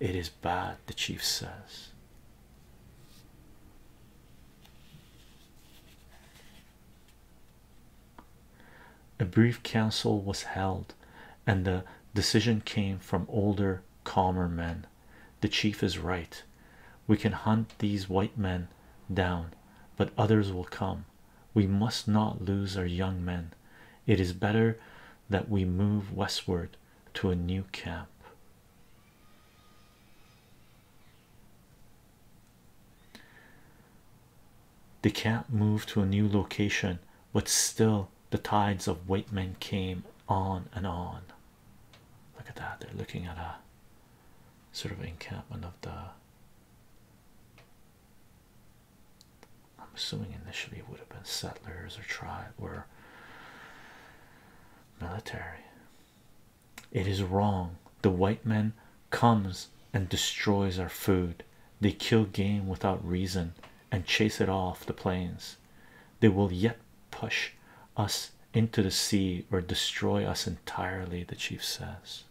it is bad the chief says a brief council was held and the decision came from older calmer men the chief is right. We can hunt these white men down, but others will come. We must not lose our young men. It is better that we move westward to a new camp. The camp moved to a new location, but still the tides of white men came on and on. Look at that, they're looking at a sort of encampment of the. I'm assuming initially it would have been settlers or tribe or military. It is wrong. The white man comes and destroys our food. They kill game without reason and chase it off the plains they will yet push us into the sea or destroy us entirely, the chief says.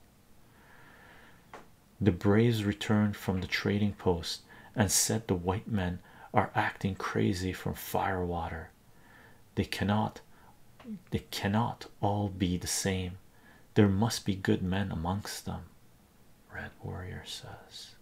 The braves returned from the trading post and said the white men are acting crazy from firewater. They cannot they cannot all be the same. There must be good men amongst them, Red Warrior says.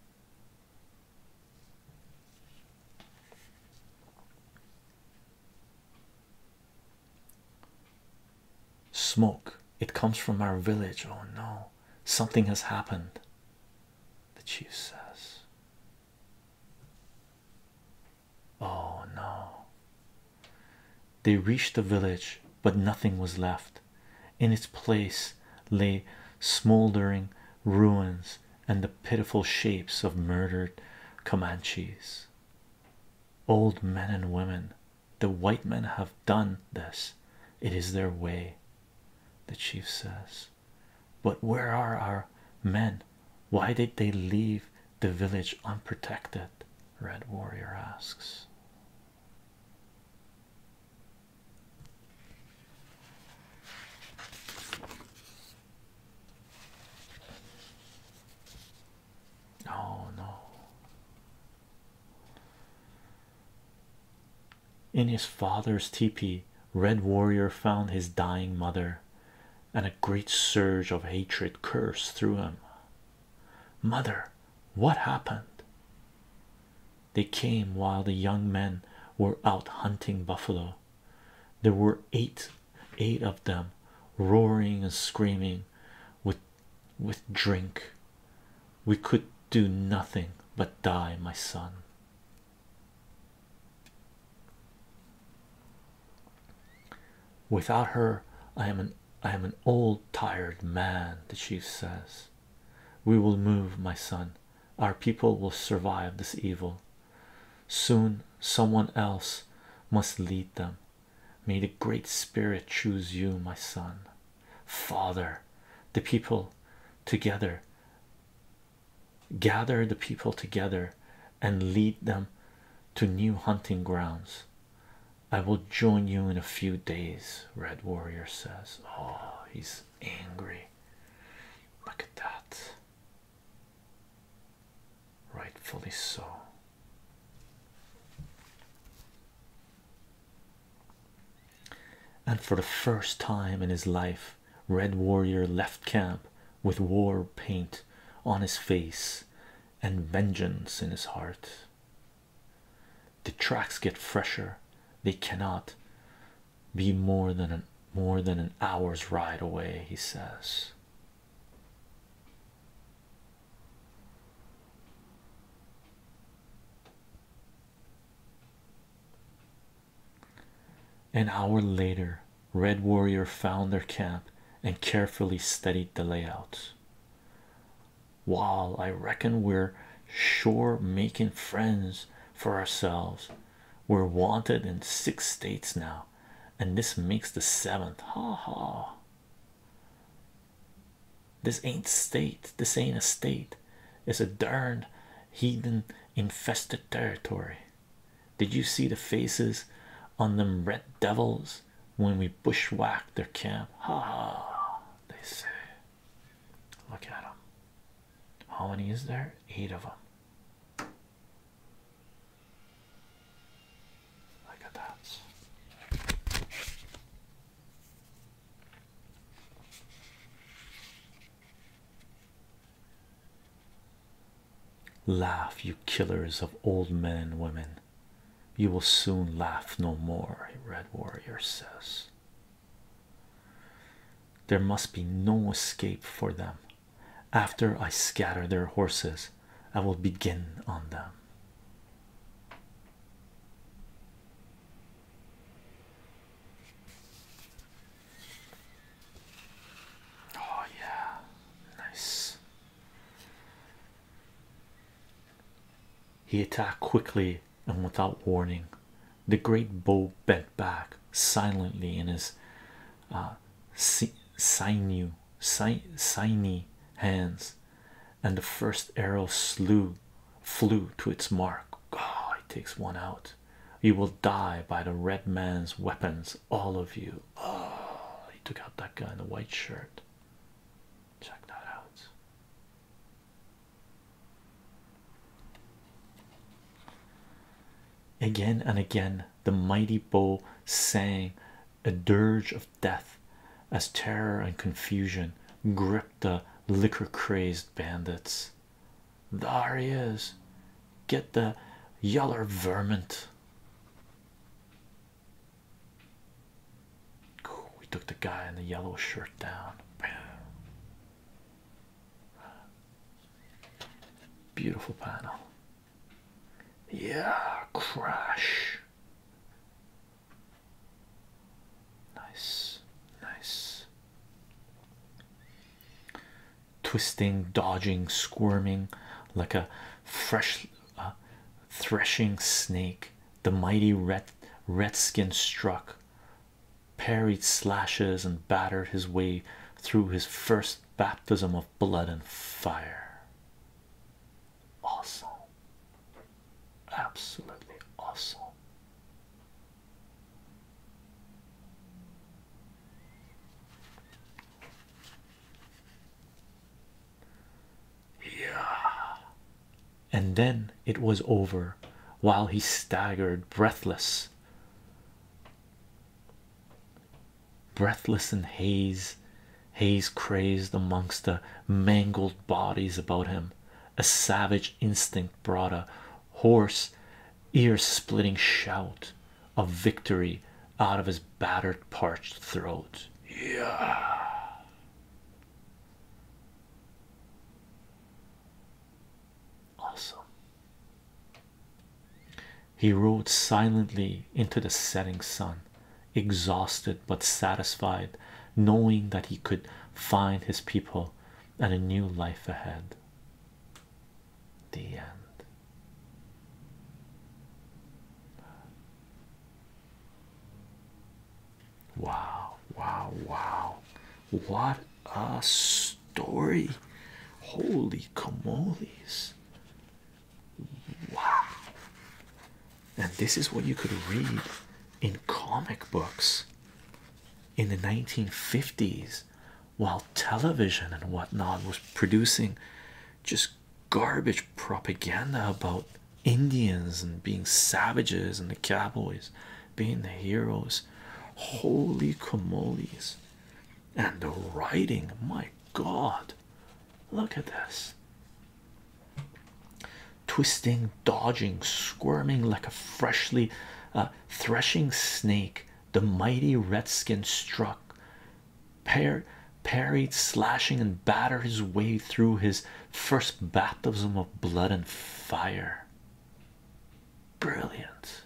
Smoke, it comes from our village. Oh no, something has happened. The chief says, Oh no. They reached the village, but nothing was left. In its place lay smoldering ruins and the pitiful shapes of murdered Comanches. Old men and women, the white men have done this, it is their way, the chief says. But where are our men? Why did they leave the village unprotected? Red Warrior asks. Oh no. In his father's teepee, Red Warrior found his dying mother, and a great surge of hatred cursed through him. Mother, what happened? They came while the young men were out hunting buffalo. There were eight, eight of them, roaring and screaming with with drink. We could do nothing but die, my son. Without her, I am an I am an old tired man, the chief says. We will move, my son. Our people will survive this evil. Soon someone else must lead them. May the Great Spirit choose you, my son. Father, the people together gather the people together and lead them to new hunting grounds. I will join you in a few days, Red Warrior says. Oh, he's angry. Look at that. Rightfully so. And for the first time in his life, Red Warrior left camp with war paint on his face and vengeance in his heart. The tracks get fresher, they cannot be more than an more than an hour's ride away, he says. An hour later, Red Warrior found their camp and carefully studied the layout. While I reckon we're sure making friends for ourselves, we're wanted in six states now, and this makes the seventh. Ha ha. This ain't state. This ain't a state. It's a darned heathen infested territory. Did you see the faces on them red devils when we bushwhacked their camp? Ha ha. They say. Look at 'em. How many is there? Eight of 'em. Look at that. Laugh, you killers of old men and women. You will soon laugh no more, Red Warrior says. There must be no escape for them. After I scatter their horses, I will begin on them. Oh, yeah, nice. He attacked quickly and without warning. The great bow bent back silently in his Ah, uh, sinew, siny hands, and the first arrow slew, flew to its mark. God, it takes one out. You will die by the red man's weapons, all of you. Oh, he took out that guy in the white shirt. Check that out. Again and again, the mighty bow sang a dirge of death as terror and confusion gripped the liquor crazed bandits. There he is, get the yeller vermint. We took the guy in the yellow shirt down. Bam. Beautiful panel. Yeah, crash. Nice, nice. Twisting, dodging, squirming like a fresh uh, threshing snake. The mighty red redskin struck, parried slashes, and battered his way through his first baptism of blood and fire. Awesome, absolutely awesome. Yeah, and then it was over while he staggered breathless breathless and haze, haze crazed amongst the mangled bodies about him. A savage instinct brought a hoarse, ear-splitting shout of victory out of his battered, parched throat. Yeah. Awesome he rode silently into the setting sun, exhausted but satisfied, knowing that he could find his people and a new life ahead. The end. Wow, wow, wow. What a story! Holy camolies! Wow. And this is what you could read in comic books in the 1950s while television and whatnot was producing just garbage propaganda about Indians and being savages and the cowboys being the heroes. Holy camolies and the writing my god look at this twisting dodging squirming like a freshly uh, threshing snake the mighty redskin struck par parried slashing and battered his way through his first baptism of blood and fire Brilliance.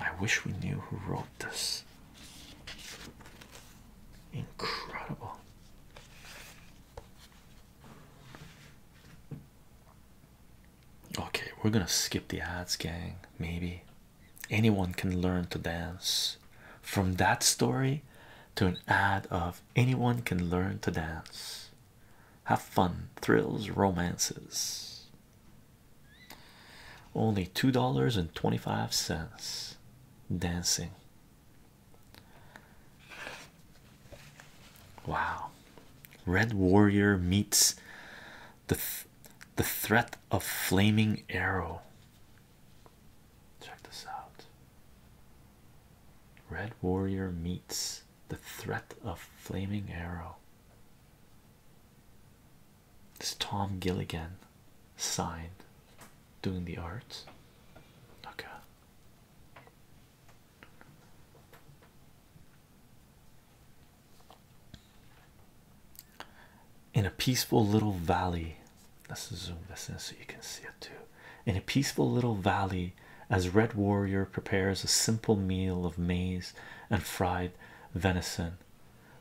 I wish we knew who wrote this. Incredible. Okay, we're gonna skip the ads, gang. Maybe anyone can learn to dance from that story to an ad of anyone can learn to dance. Have fun, thrills, romances. Only two dollars and twenty five cents. Dancing. Wow. Red Warrior meets the the threat of flaming arrow. Check this out. Red Warrior meets the threat of flaming arrow. It's Tom Gilligan signed doing the art. Okay. In a peaceful little valley, let's zoom this in so you can see it too. In a peaceful little valley, as Red Warrior prepares a simple meal of maize and fried venison,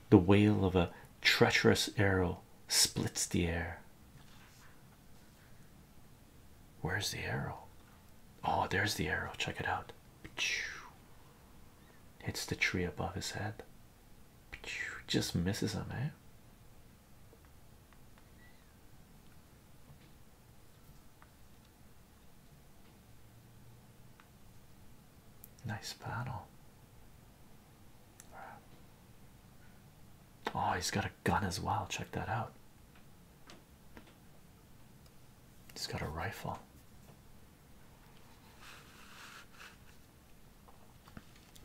the wail of a treacherous arrow splits the air. Where's the arrow? Oh, there's the arrow. Check it out. Hits the tree above his head. Just misses him, eh? Nice panel. Oh, he's got a gun as well. Check that out. He's got a rifle.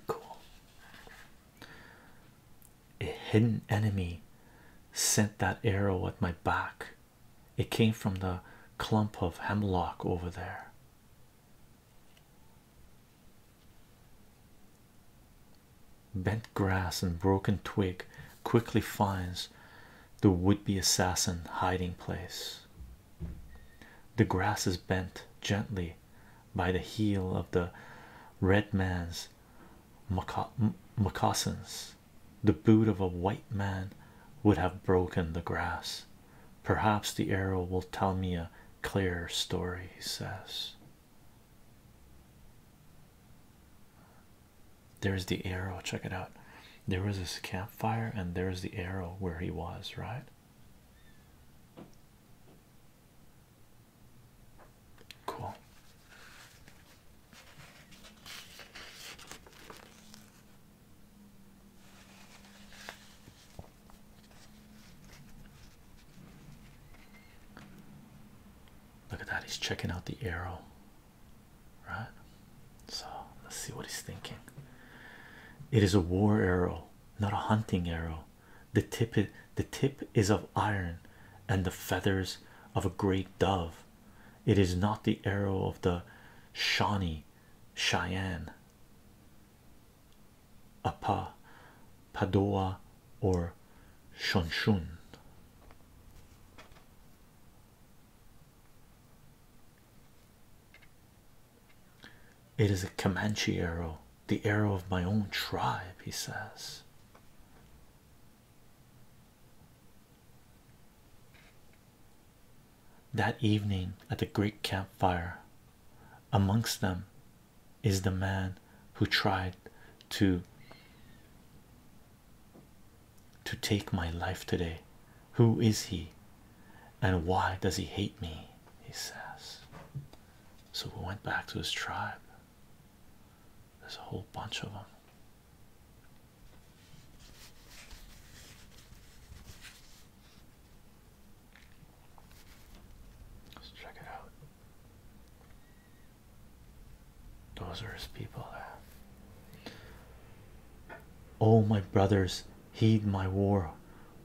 Cool. A hidden enemy sent that arrow at my back. It came from the clump of hemlock over there. Bent grass and broken twig quickly finds the would-be assassin hiding place. The grass is bent gently by the heel of the red man's moccasins. The boot of a white man would have broken the grass. Perhaps the arrow will tell me a clearer story, he says. There's the arrow, check it out. There was this campfire, and there's the arrow where he was, right? Cool. Look at that, he's checking out the arrow, right? So let's see what he's thinking. It is a war arrow, not a hunting arrow. The tip the tip is of iron and the feathers of a great dove. It is not the arrow of the Shawnee Cheyenne Apa, Padua, or Shonshun. It is a Comanche arrow, the arrow of my own tribe, he says. That evening at the great campfire, amongst them is the man who tried to to take my life today. Who is he? And why does he hate me? He says. So we went back to his tribe. There's a whole bunch of them. Let's check it out. Those are his people there. Oh, my brothers, heed my war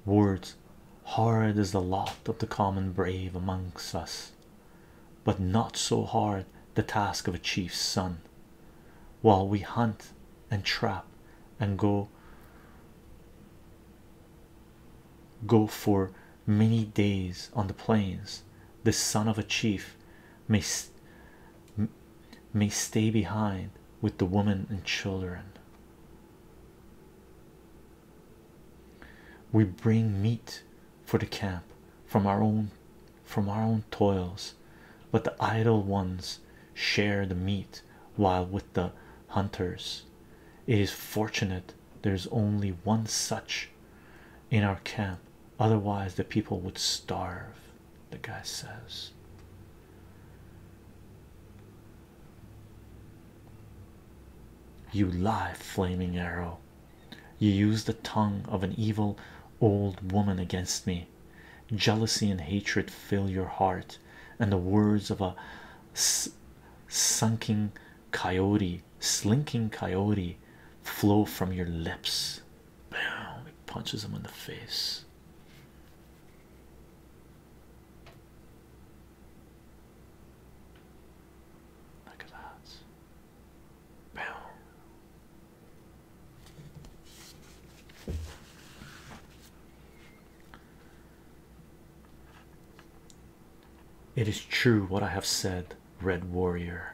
words. Hard is the lot of the common brave amongst us, but not so hard the task of a chief's son. While we hunt and trap and go go for many days on the plains the son of a chief may may stay behind with the women and children we bring meat for the camp from our own from our own toils but the idle ones share the meat while with the hunters. It is fortunate there's only one such in our camp, otherwise, the people would starve. The guy says. You lie, flaming arrow. You use the tongue of an evil old woman against me. Jealousy and hatred fill your heart, and the words of a sunken coyote, slinking coyote, flow from your lips. Boom! It punches him in the face. Look at that. Boom. It is true what I have said, Red Warrior.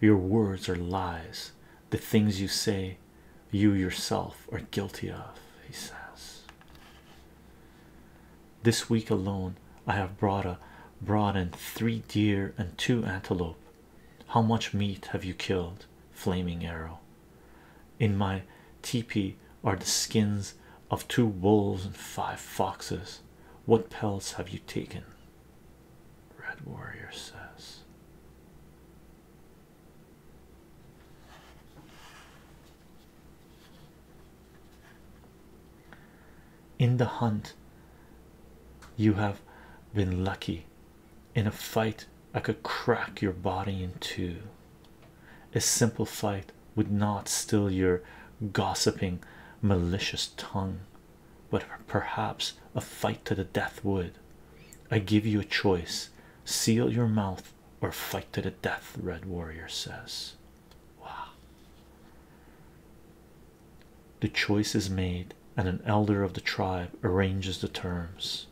Your words are lies. The things you say, you yourself are guilty of, he says. This week alone, I have brought a brought in three deer and two antelope. How much meat have you killed, Flaming Arrow? in my tepee are the skins of two wolves and five foxes. What pelts have you taken? Red Warrior says. In the hunt, you have been lucky in a fight i could crack your body in two a simple fight would not still your gossiping malicious tongue but perhaps a fight to the death would i give you a choice seal your mouth or fight to the death red warrior says wow the choice is made and an elder of the tribe arranges the terms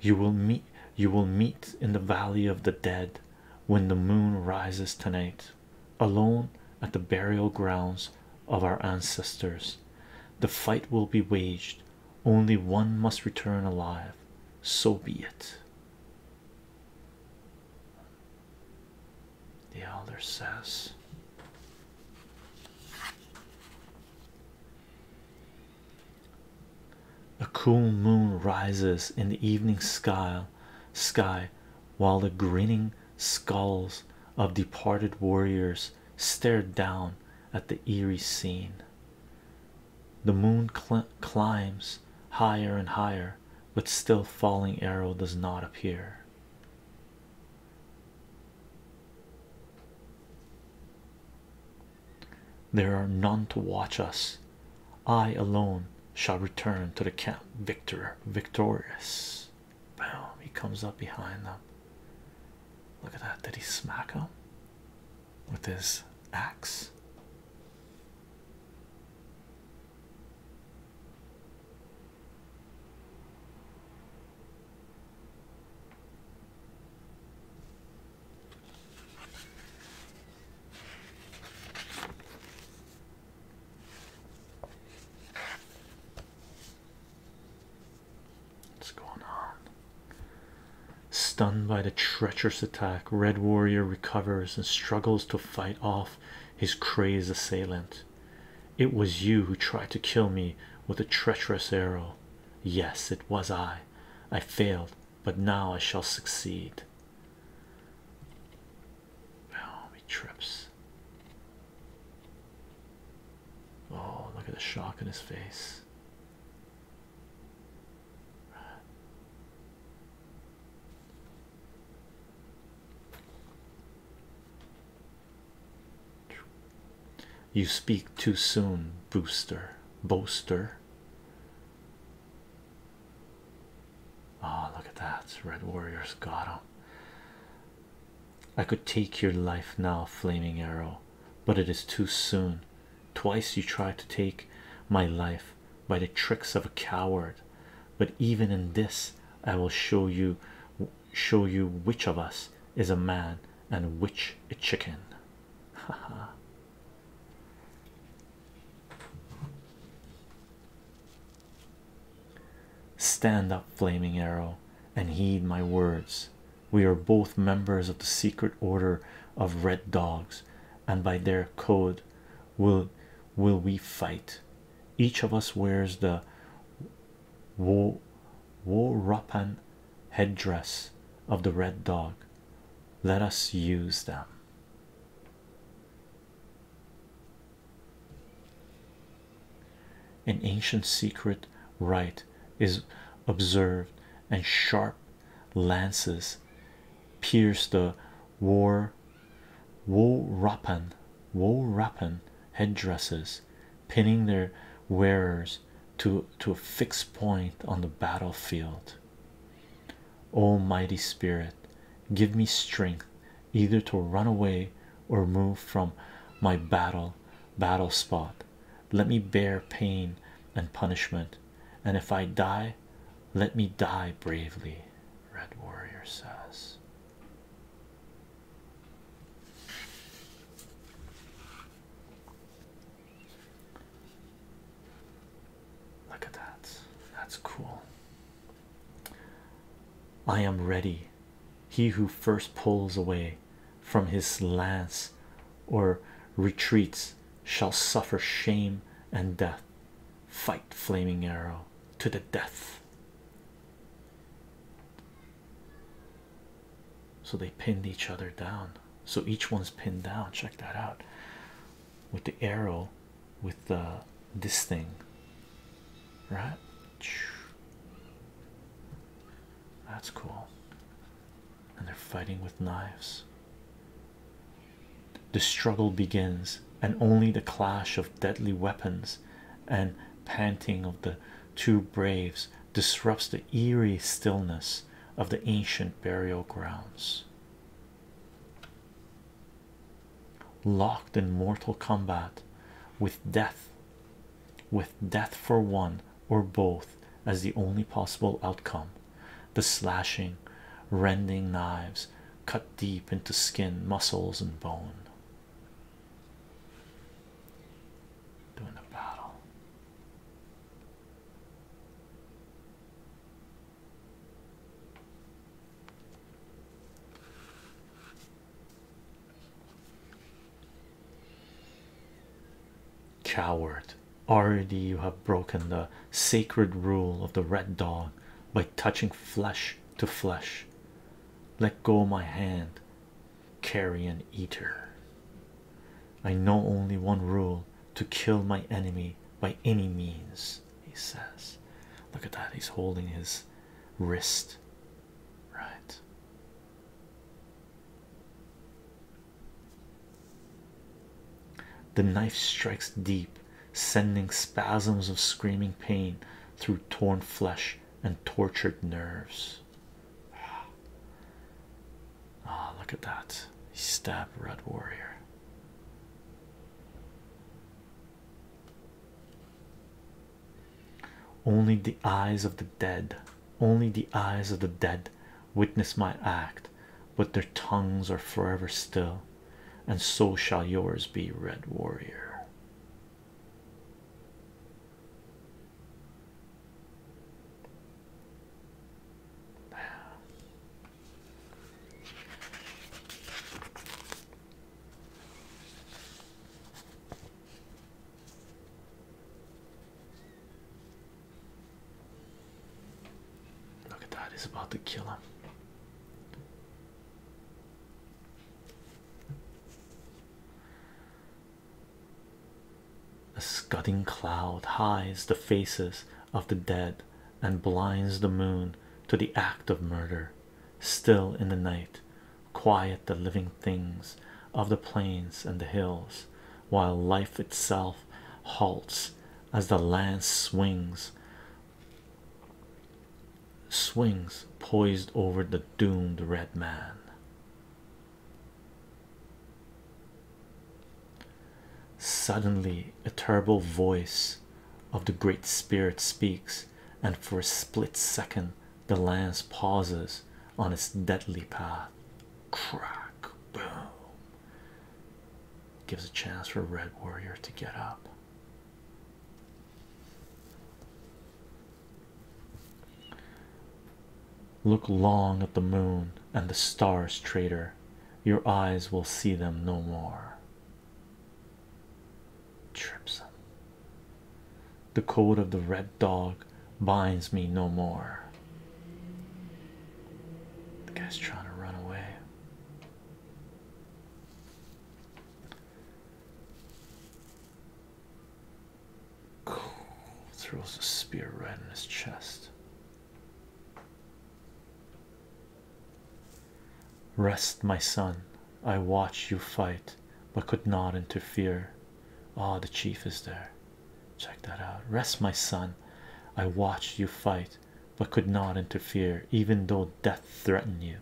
you will meet you will meet in the valley of the dead when the moon rises tonight alone at the burial grounds of our ancestors the fight will be waged only one must return alive so be it the elder says a cool moon rises in the evening sky, while the grinning skulls of departed warriors stare down at the eerie scene. The moon climbs higher and higher, but still falling arrow does not appear. There are none to watch us. I alone shall return to the camp victor victorious. Boom, he comes up behind them. Look at that. Did he smack him with his axe? What's going on? Stunned by the treacherous attack, Red Warrior recovers and struggles to fight off his crazed assailant. It was you who tried to kill me with a treacherous arrow. Yes, it was I. I failed, but now I shall succeed. Oh, he trips. Oh, look at the shock in his face. You speak too soon, Booster, Boaster. Ah, look at that. Red Warriors got him. I could take your life now, Flaming Arrow, but it is too soon. Twice you tried to take my life by the tricks of a coward, but even in this, I will show you show you which of us is a man and which a chicken. Haha. Stand up, flaming arrow, and heed my words. We are both members of the secret order of red dogs, and by their code will will we fight. Each of us wears the wo Worapan headdress of the red dog. Let us use them. An ancient secret rite is observed, and sharp lances pierce the war worapan worapan headdresses pinning their wearers to to a fixed point on the battlefield. O mighty spirit, give me strength either to run away or move from my battle battle spot. Let me bear pain and punishment, and if I die, let me die bravely. Red Warrior says. Look at that. That's cool. I am ready. He who first pulls away from his lance or retreats shall suffer shame and death. Fight, flaming arrow, to the death. So they pinned each other down. So each one's pinned down. Check that out with the arrow with the this thing, right? That's cool. And they're fighting with knives. The struggle begins, and only the clash of deadly weapons and panting of the two braves disrupts the eerie stillness of the ancient burial grounds. Locked in mortal combat with death, with death for one or both as the only possible outcome, the slashing, rending knives cut deep into skin, muscles, and bone. Doing a battle. Coward, already you have broken the sacred rule of the red dog by touching flesh to flesh. Let go my hand, carrion eater. I know only one rule to kill my enemy by any means, he says. Look at that, he's holding his wrist, right? The knife strikes deep, sending spasms of screaming pain through torn flesh and tortured nerves. Ah, look at that. Stab, Red Warrior. Only the eyes of the dead, only the eyes of the dead witness my act, but their tongues are forever still, and so shall yours be, Red Warrior. Look at that, he's about to kill him. A scudding cloud hides the faces of the dead and blinds the moon to the act of murder. Still in the night, quiet the living things of the plains and the hills, while life itself halts as the lance swings, swings poised over the doomed red man. Suddenly, a terrible voice of the Great Spirit speaks, and for a split second, the lance pauses on its deadly path. Crack, boom. Gives a chance for Red Warrior to get up. Look long at the moon and the stars, traitor. Your eyes will see them no more. Trips. The code of the red dog binds me no more. The guy's trying to run away. Cool. Throws a spear right in his chest. Rest, my son. I watched you fight, but could not interfere. Ah, the chief is there. Check that out. Rest, my son. I watched you fight, but could not interfere, even though death threatened you.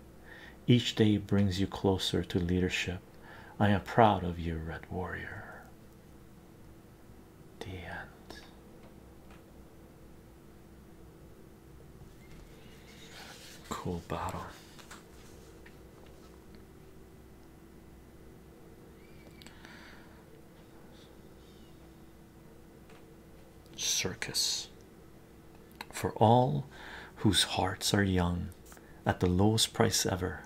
Each day brings you closer to leadership. I am proud of you, Red Warrior the end. Cool bottle. Circus. For all whose hearts are young, at the lowest price ever,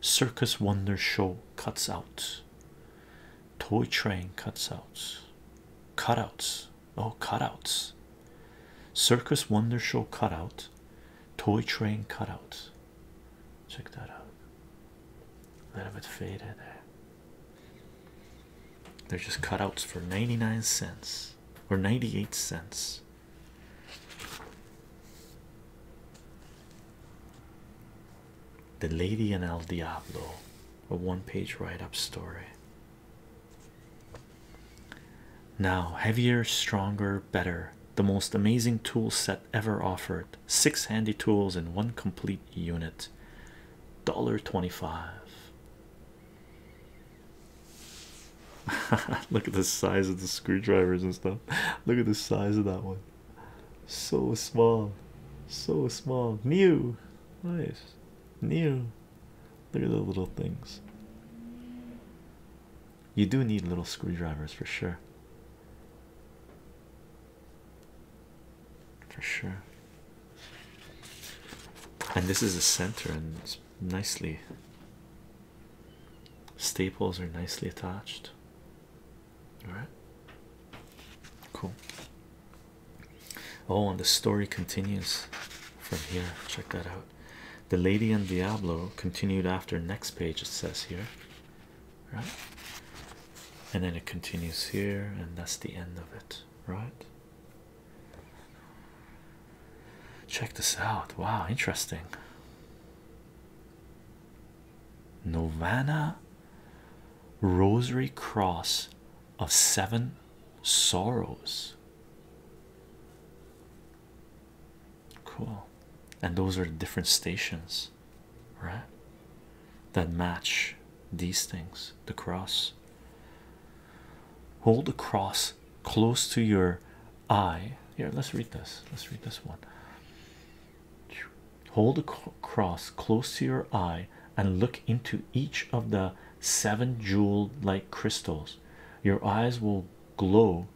Circus Wonder Show cuts out. Toy train cutouts, Cutouts. Oh, cutouts. Circus Wonder Show cutout. Toy train cutouts. Check that out. A little bit faded there. They're just cutouts for 99 cents or 98 cents. The Lady and El Diablo, a one page write up story. Now, heavier, stronger, better, the most amazing tool set ever offered. Six handy tools in one complete unit. twenty-five. Look at the size of the screwdrivers and stuff. Look at the size of that one. So small, so small. New, nice, new. Look at the little things. You do need little screwdrivers for sure. For sure. And this is the center, and it's nicely staples are nicely attached. All right, cool. Oh, and the story continues from here. Check that out. The Lady and Diablo continued after next page, it says here, right? And then it continues here, and that's the end of it, right? Check this out. Wow, interesting. Novana Rosary Cross of Seven Sorrows. Cool. And those are different stations, right? That match these things. The cross. Hold the cross close to your eye. Here, let's read this. Let's read this one. Hold the cross close to your eye and look into each of the seven jewel like crystals. Your eyes will glow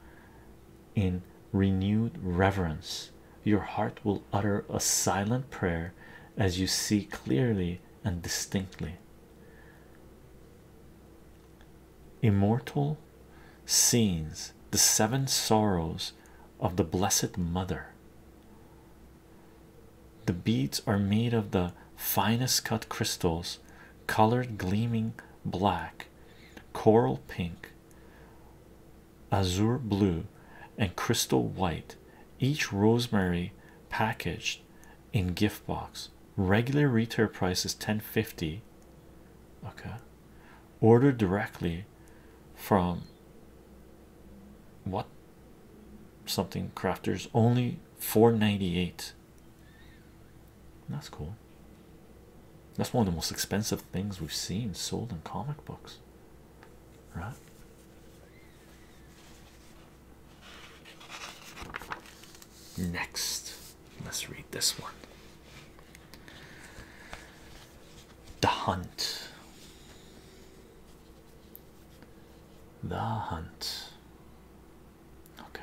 in renewed reverence. Your heart will utter a silent prayer as you see clearly and distinctly. Immortal scenes, the seven sorrows of the Blessed Mother. The beads are made of the finest cut crystals, colored gleaming black, coral pink, azure blue, and crystal white. Each rosemary packaged in gift box. Regular retail price is 1050. Okay ordered directly from what something crafters only 498 that's cool that's one of the most expensive things we've seen sold in comic books right next let's read this one the Hunt. The Hunt. Okay.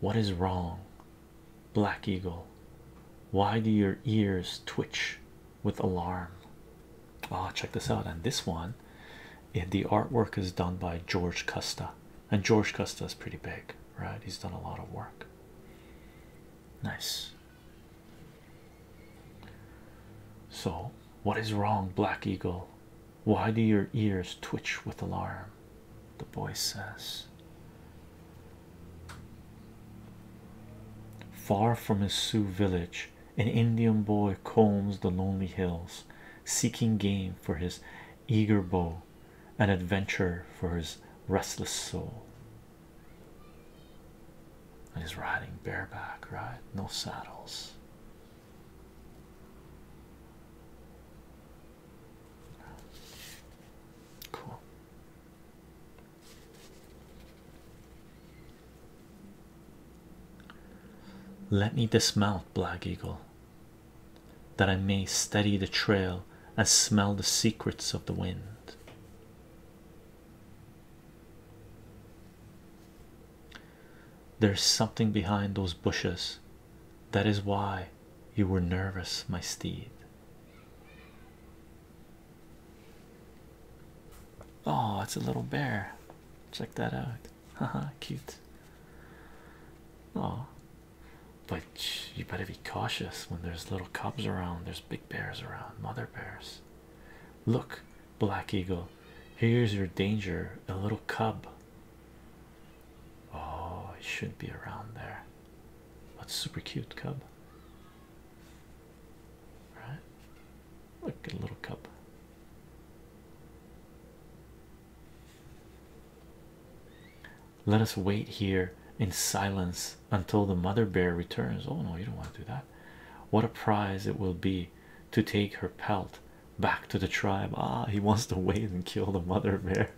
What is wrong? Black Eagle. Why do your ears twitch with alarm? Ah, check this out. And this one, eh, the artwork is done by George Custa, and George Custa is pretty big, right? He's done a lot of work. Nice. So, what is wrong, Black Eagle? Why do your ears twitch with alarm? The boy says. Far from his Sioux village, an Indian boy combs the lonely hills, seeking game for his eager bow, an adventure for his restless soul. He's riding bareback, right? No saddles. Cool. Let me dismount, Black Eagle, that I may study the trail and smell the secrets of the wind. There's something behind those bushes. That is why you were nervous, my steed. Oh, it's a little bear. Check that out. Haha, cute. Oh, but you better be cautious when there's little cubs around, there's big bears around, mother bears. Look, Black Eagle, here's your danger a little cub. Oh, it shouldn't be around there. That's super cute, cub. Right? Look, a little cub. Let us wait here in silence until the mother bear returns. Oh no, you don't want to do that. What a prize it will be to take her pelt back to the tribe. Ah, he wants to wait and kill the mother bear.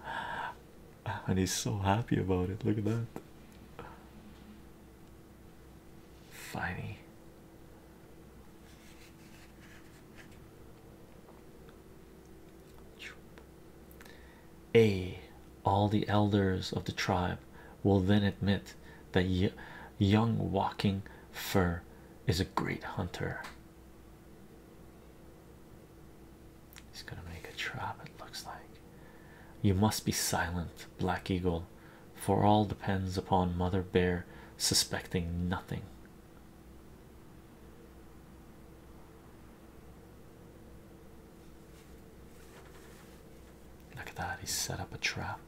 and he's so happy about it. Look at that. Finey. A. All the elders of the tribe will then admit that young walking fur is a great hunter. He's gonna make a trap, it looks like. You must be silent, Black Eagle, for all depends upon Mother Bear suspecting nothing. Look at that, he set up a trap.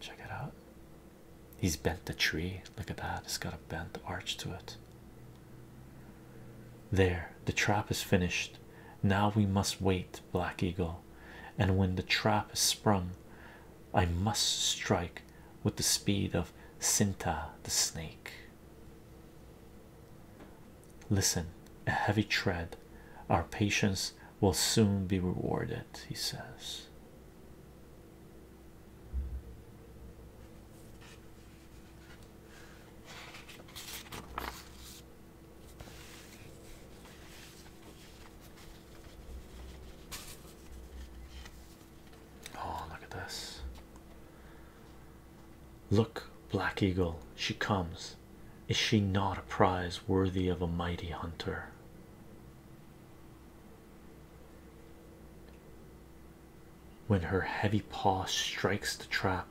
Check it out. He's bent the tree. Look at that, it's got a bent arch to it. There, the trap is finished. Now we must wait, Black Eagle. And when the trap is sprung, I must strike with the speed of Sinta the snake. Listen, a heavy tread. Our patience will soon be rewarded, he says. Oh, look at this. Look, Black Eagle, she comes. Is she not a prize worthy of a mighty hunter? When her heavy paw strikes the trap,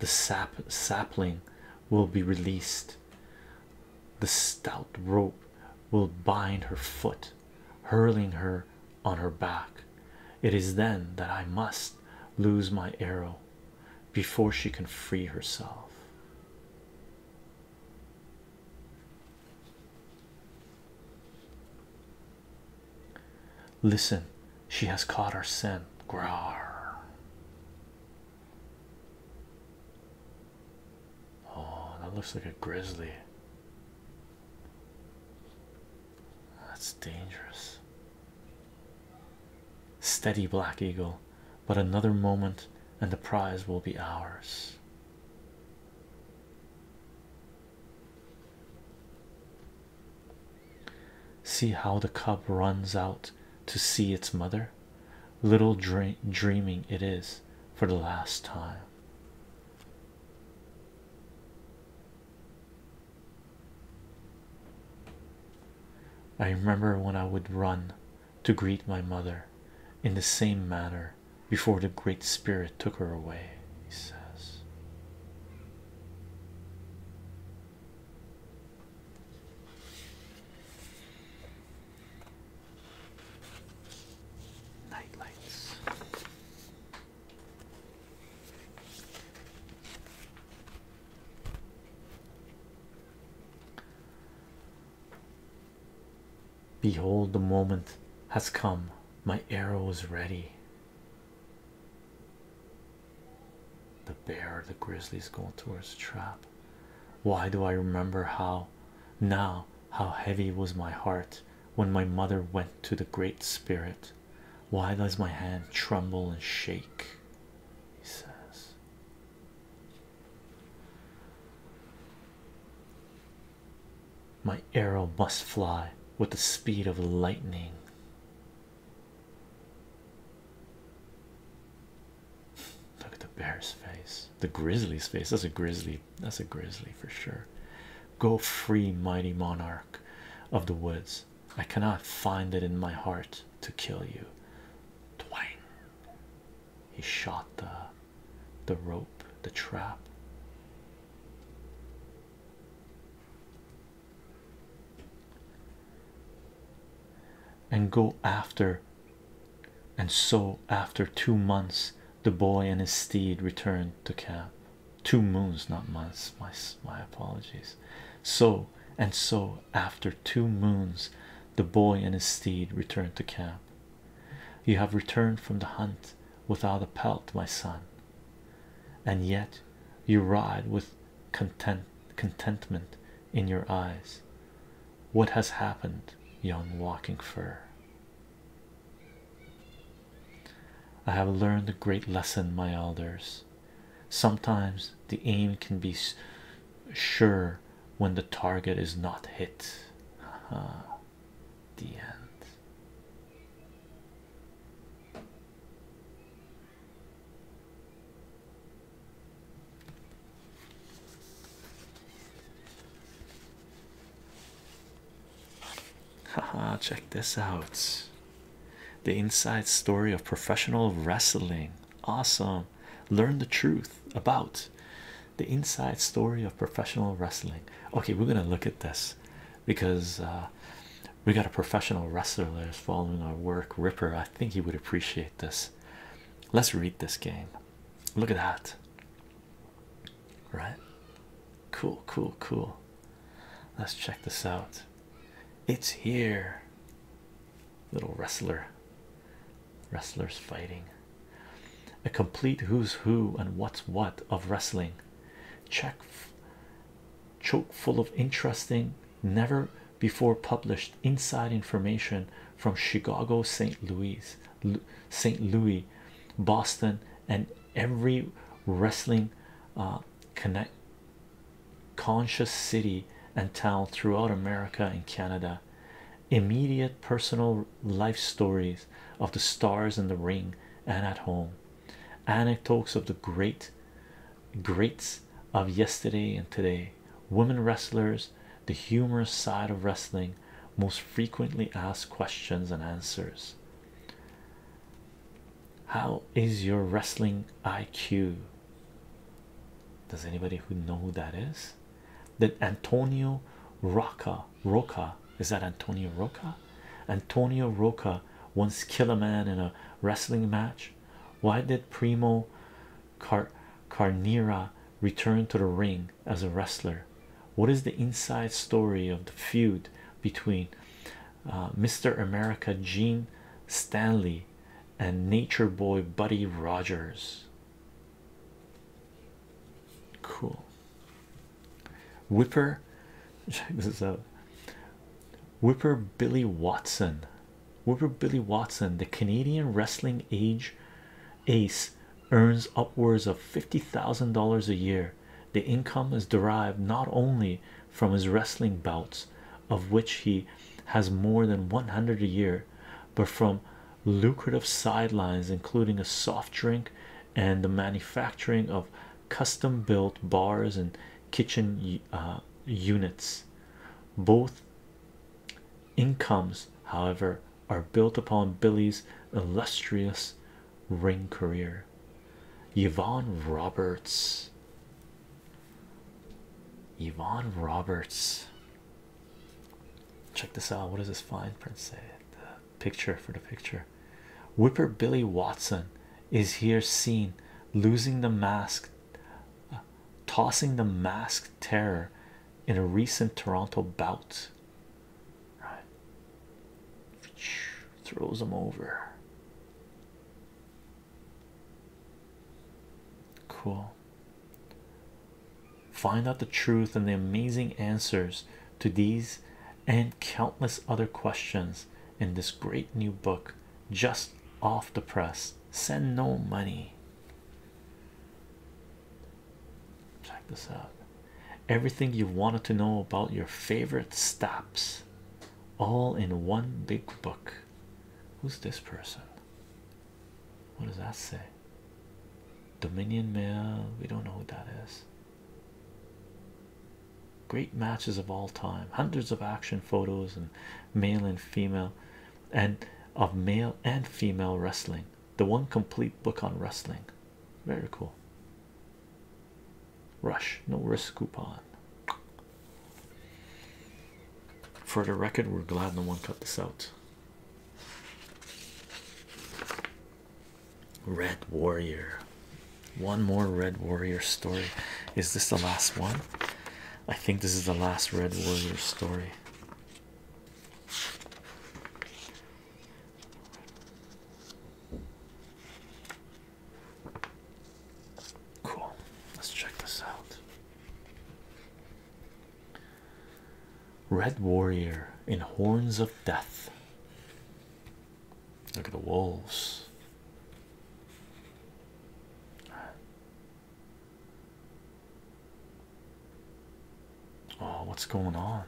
the sap sapling will be released. The stout rope will bind her foot, hurling her on her back. It is then that I must lose my arrow before she can free herself. Listen, she has caught our scent. Graar! Oh, that looks like a grizzly. That's dangerous. Steady, Black Eagle, but another moment and the prize will be ours. See how the cub runs out to see its mother. Little dreaming it is for the last time. I remember when I would run to greet my mother in the same manner before the Great Spirit took her away, he says. Night Behold, the moment has come, my arrow is ready. The bear, the grizzly, grizzly's going towards the trap. Why do I remember how now how heavy was my heart when my mother went to the Great Spirit? Why does my hand tremble and shake? He says. My arrow must fly with the speed of lightning. Look at the bear's face, the grizzly's face. That's a grizzly, that's a grizzly for sure. Go free, mighty monarch of the woods. I cannot find it in my heart to kill you. Twang. He shot the the rope, the trap. And go after and so after two months the boy and his steed returned to camp two moons, not months. My my apologies. So and so, after two moons, the boy and his steed returned to camp. You have returned from the hunt without a pelt, my son, and yet you ride with content contentment in your eyes. What has happened, young walking fur? I have learned a great lesson, my elders. Sometimes the aim can be sure when the target is not hit. the end. Haha, check this out. The inside story of professional wrestling. Awesome. Learn the truth about the inside story of professional wrestling. Okay, we're gonna look at this because uh, we got a professional wrestler that's following our work. Ripper, I think he would appreciate this. Let's read this game. Look at that. Right? Cool, cool, cool. Let's check this out. It's here. Little wrestler. Wrestlers fighting. A complete who's who and what's what of wrestling. Check choke full of interesting, never before published inside information from Chicago, St. Louis, St. Louis, Boston, and every wrestling uh, connect conscious city and town throughout America and Canada. Immediate personal life stories of the stars in the ring and at home, anecdotes of the great greats of yesterday and today, women wrestlers, the humorous side of wrestling, most frequently asked questions and answers. How is your wrestling IQ? Does anybody who know who that is? That Antonio Roca Roca is that Antonio Roca? Antonio Roca once kill a man in a wrestling match. Why did Primo Carnera return to the ring as a wrestler? What is the inside story of the feud between uh, Mr. America Gene Stanley and Nature Boy Buddy Rogers. Cool. Whipper, check this out. Whipper Billy Watson, Whipper Billy Watson, the Canadian wrestling age ace, earns upwards of fifty thousand dollars a year. The income is derived not only from his wrestling bouts of which he has more than 100 a year, but from lucrative sidelines, including a soft drink and the manufacturing of custom built bars and kitchen uh, units. Both incomes, however, are built upon Billy's illustrious ring career. Yvonne Roberts Yvonne Roberts. Check this out. What does this fine print say? The picture for the picture. Whipper Billy Watson is here seen losing the mask, uh, tossing the masked terror in a recent Toronto bout. Right. Throws him over. Cool. Find out the truth and the amazing answers to these and countless other questions in this great new book just off the press. Send no money. Check this out. Everything you wanted to know about your favorite stops all in one big book. Who's this person? What does that say? Dominion Mail, we don't know who that is. Great matches of all time, hundreds of action photos and male and female and of male and female wrestling. The one complete book on wrestling. Very cool rush no risk coupon for the record we're glad no one cut this out red warrior one more red warrior story is this the last one i think this is the last red warrior story Cool. Let's check this out. Red Warrior in Horns of Death. Look at the wolves. Oh, what's going on?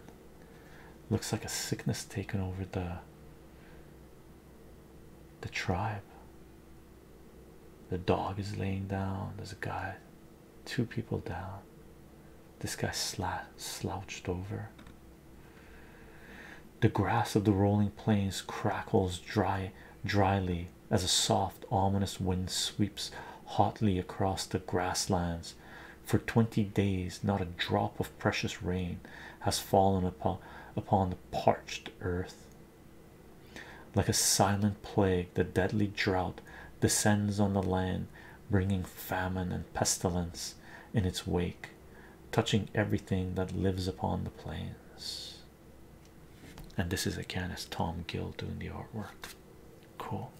Looks like a sickness taken over the the tribe. The dog is laying down. There's a guy, two people down. This guy slouched over. The grass of the rolling plains crackles dry, dryly as a soft, ominous wind sweeps hotly across the grasslands. For twenty days, not a drop of precious rain has fallen upon upon the parched earth. Like a silent plague, the deadly drought descends on the land, bringing famine and pestilence in its wake, touching everything that lives upon the plains. And this is again as Tom Gill doing the artwork. Cool.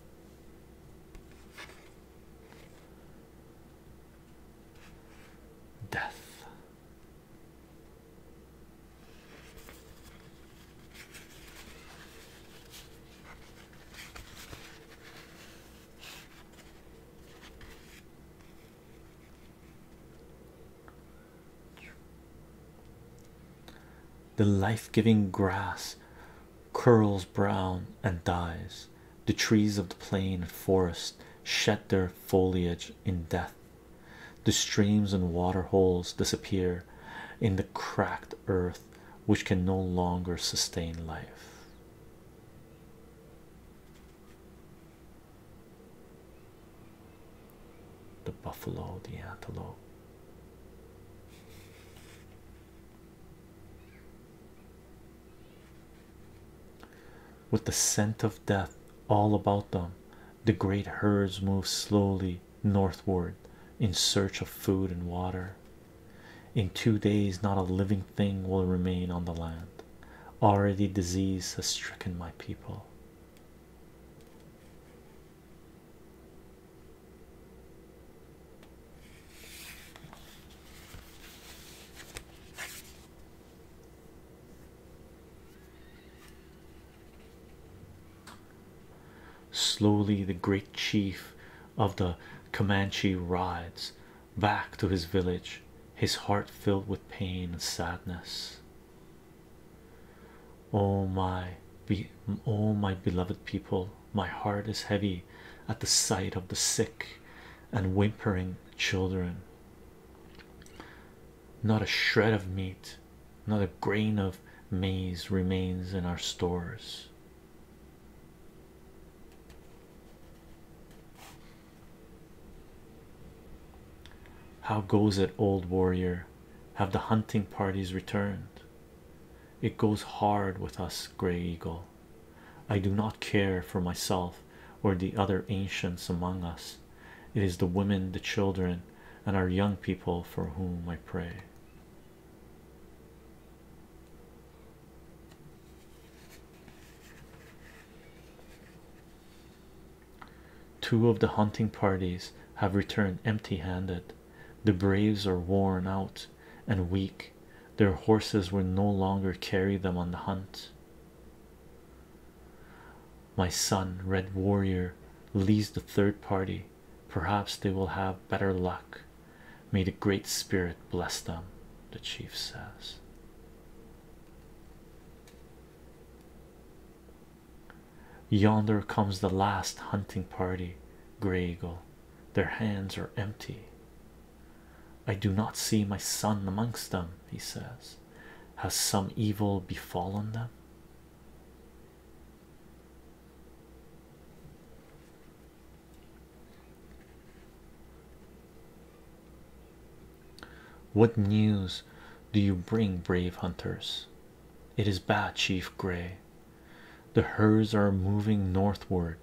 Death. The life giving grass curls brown and dies. The trees of the plain and forest shed their foliage in death. The streams and water holes disappear in the cracked earth, which can no longer sustain life. The buffalo, the antelope. With the scent of death all about them, the great herds move slowly northward in search of food and water. In two days, not a living thing will remain on the land. Already, disease has stricken my people. Slowly, the great chief of the Comanche rides back to his village, his heart filled with pain and sadness. Oh, my, oh, my beloved people, my heart is heavy at the sight of the sick and whimpering children. Not a shred of meat, not a grain of maize remains in our stores. How goes it, old warrior? Have the hunting parties returned? It goes hard with us, Grey Eagle. I do not care for myself or the other ancients among us, it is the women, the children, and our young people for whom I pray. Two of the hunting parties have returned empty handed. The braves are worn out and weak. Their horses will no longer carry them on the hunt. My son, Red Warrior, leads the third party. Perhaps they will have better luck. May the Great Spirit bless them, the chief says. Yonder comes the last hunting party, Grey Eagle. Their hands are empty. I do not see my son amongst them, he says. Has some evil befallen them? What news do you bring, brave hunters? It is bad, Chief Gray. The herds are moving northward.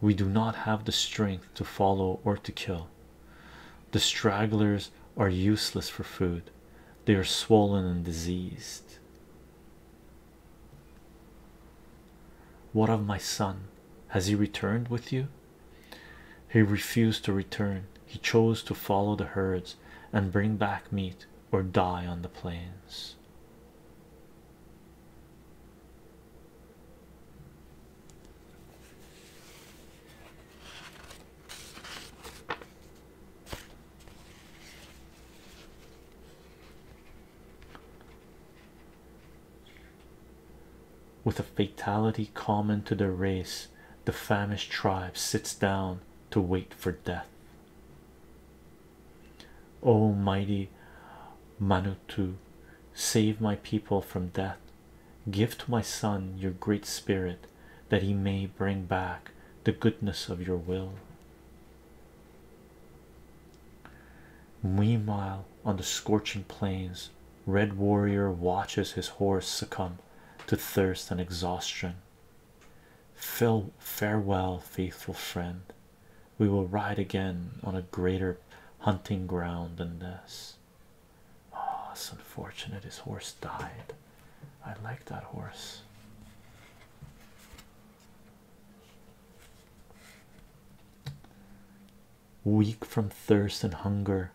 We do not have the strength to follow or to kill. The stragglers are useless for food, they are swollen and diseased. What of my son? Has he returned with you? He refused to return, he chose to follow the herds and bring back meat or die on the plains. With a fatality common to their race, the famished tribe sits down to wait for death. O mighty Manutu, save my people from death. Give to my son your great spirit that he may bring back the goodness of your will. Meanwhile, on the scorching plains, Red Warrior watches his horse succumb to thirst and exhaustion. farewell, faithful friend. We will ride again on a greater hunting ground than this. Oh, it's unfortunate his horse died. I like that horse. Weak from thirst and hunger,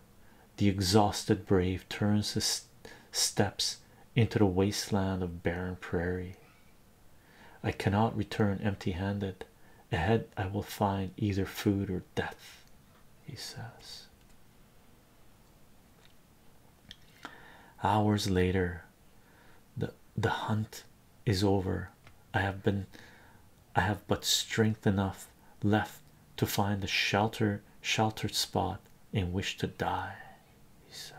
the exhausted brave turns his steps into the wasteland of barren prairie. I cannot return empty handed. Ahead, I will find either food or death, he says. Hours later, the the hunt is over. I have been I have but strength enough left to find a shelter sheltered spot in which to die, he says.